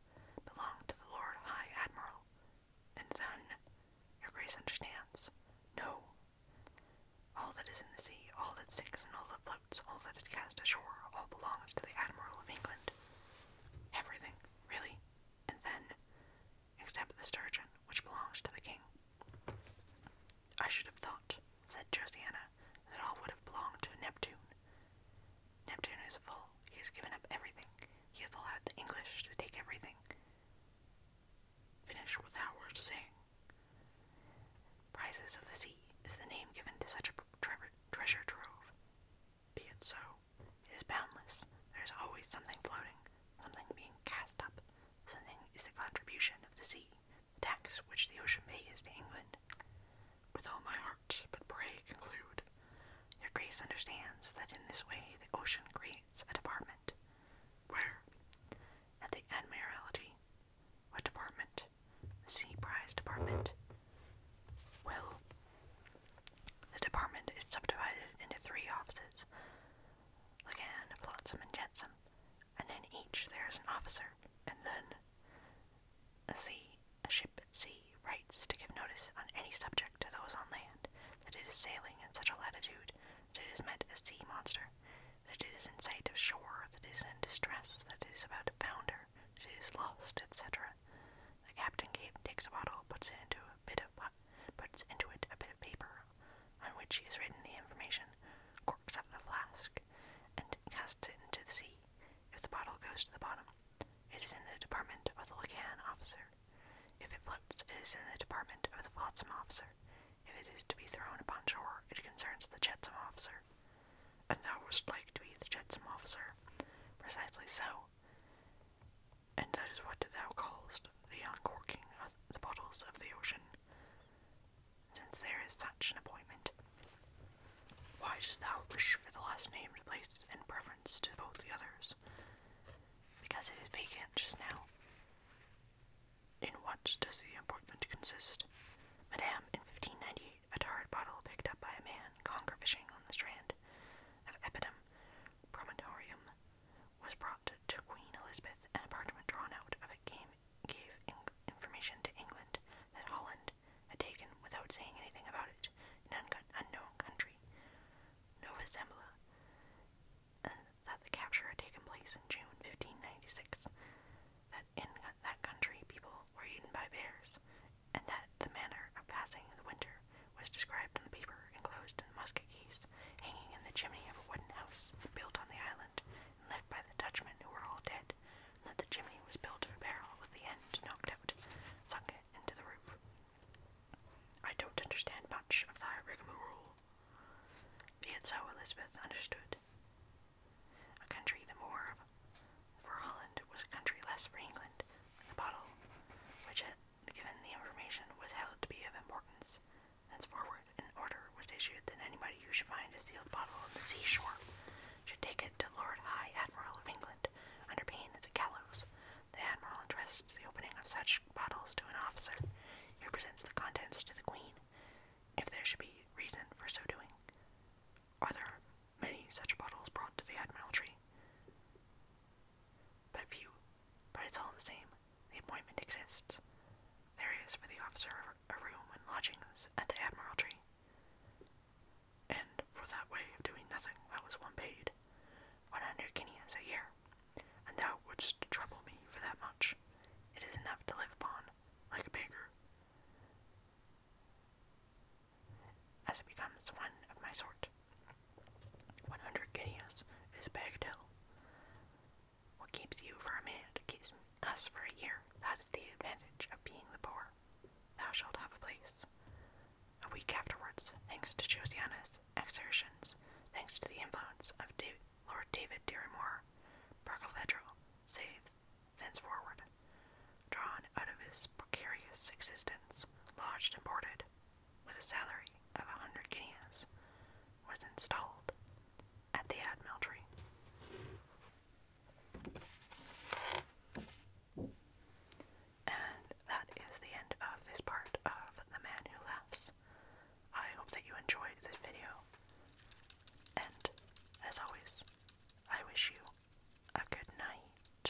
belong to the Lord High Admiral. And then, your grace understands, no. All that is in the sea, all that sinks, and all that floats, all that is cast ashore, all belongs to the Admiral of England. Everything, really, and then, except the sturgeon, which belongs to the king. I should have thought, said Josiana, that all would have belonged to Neptune. Neptune is full. He has given up everything. He has allowed the English to take everything. Finish with Howard saying, Prizes of the sea is the name given to such a treasure trove. Be it so. It is boundless. There is always something floating, something being cast up. Something is the contribution of the sea, the tax which the ocean pays to England. With all my heart, but pray conclude. Your Grace understands that in this way the ocean creates a department. Where? At the Admiralty. What department? The Sea Prize Department. Well, the department is subdivided into three offices Lagan, Flotsam, and Jetsam, and in each there is an officer, and then a sea, a ship at sea, writes to give notice on any subject to those on land that it is sailing in such a latitude that it is met a sea monster, that it is in sight of shore, that it is in distress, that it is about to founder, that it is lost, etc. The captain takes a bottle, puts it into a bit of it a bit of paper, on which he has written the information, corks up the flask, and casts it into the sea. If the bottle goes to the bottom, it is in the department of the Lacan officer. If it floats, it is in the department of the flotsam officer. If it is to be thrown upon shore, it concerns the jetsam officer. And thou wouldst like to be the jetsam officer. Precisely so and that is what thou callest the uncorking of the bottles of the ocean, since there is such an appointment. Why dost thou wish for the last named place in preference to both the others? Because it is vacant just now. In what does the appointment consist? Madame, in fifteen ninety, a tarred bottle picked up by a man conger fishing on the strand of Epidam promontorium was brought to Queen Elizabeth, and a parchment drawn out of it came, gave information to England that Holland had taken, without saying anything about it, an un unknown country, Nova Zembla, and that the capture had taken place in June 1596, that in that country people were eaten by bears, and that the manner of passing the winter was described in the paper, enclosed in musket case, hanging in the chimney of a wooden house built on the island left by the Dutchmen who were all dead, and that the chimney was built of a barrel with the end knocked out, sunk into the roof. I don't understand much of thy rigmarole. Be it so, Elizabeth understood. A country the more of for Holland was a country less for England, the bottle, which given the information was held to be of importance. Thenceforward, an order was issued that anybody who should find a sealed bottle on the seashore should take it to Lord High Admiral of England under pain of the gallows. The Admiral entrusts the opening of such bottles to an officer who presents the contents to the Queen, if there should be reason for so doing. Are there many such bottles brought to the Admiralty? but few. But it's all the same. The appointment exists. There is for the officer a room and lodgings at the Admiralty. And for that way of doing nothing, I was one paid, one hundred guineas a year, and thou wouldst trouble me for that much. It is enough to live upon, like a beggar. As it becomes one of my sort, one hundred guineas is bagatelle. What keeps you for a minute keeps us for a year. That is the advantage of being the poor. Thou shalt have a place. A week afterwards, thanks to Josiana's exertions, thanks to the influence of David, Lord David Dirrimore, Barkilphedro saved thenceforward, drawn out of his precarious existence, lodged and boarded, with a salary of a hundred guineas, was installed at the Admiralty. And that is the end of this part of The Man Who Laughs. I hope that you enjoyed this video. And as always, I wish you a good night.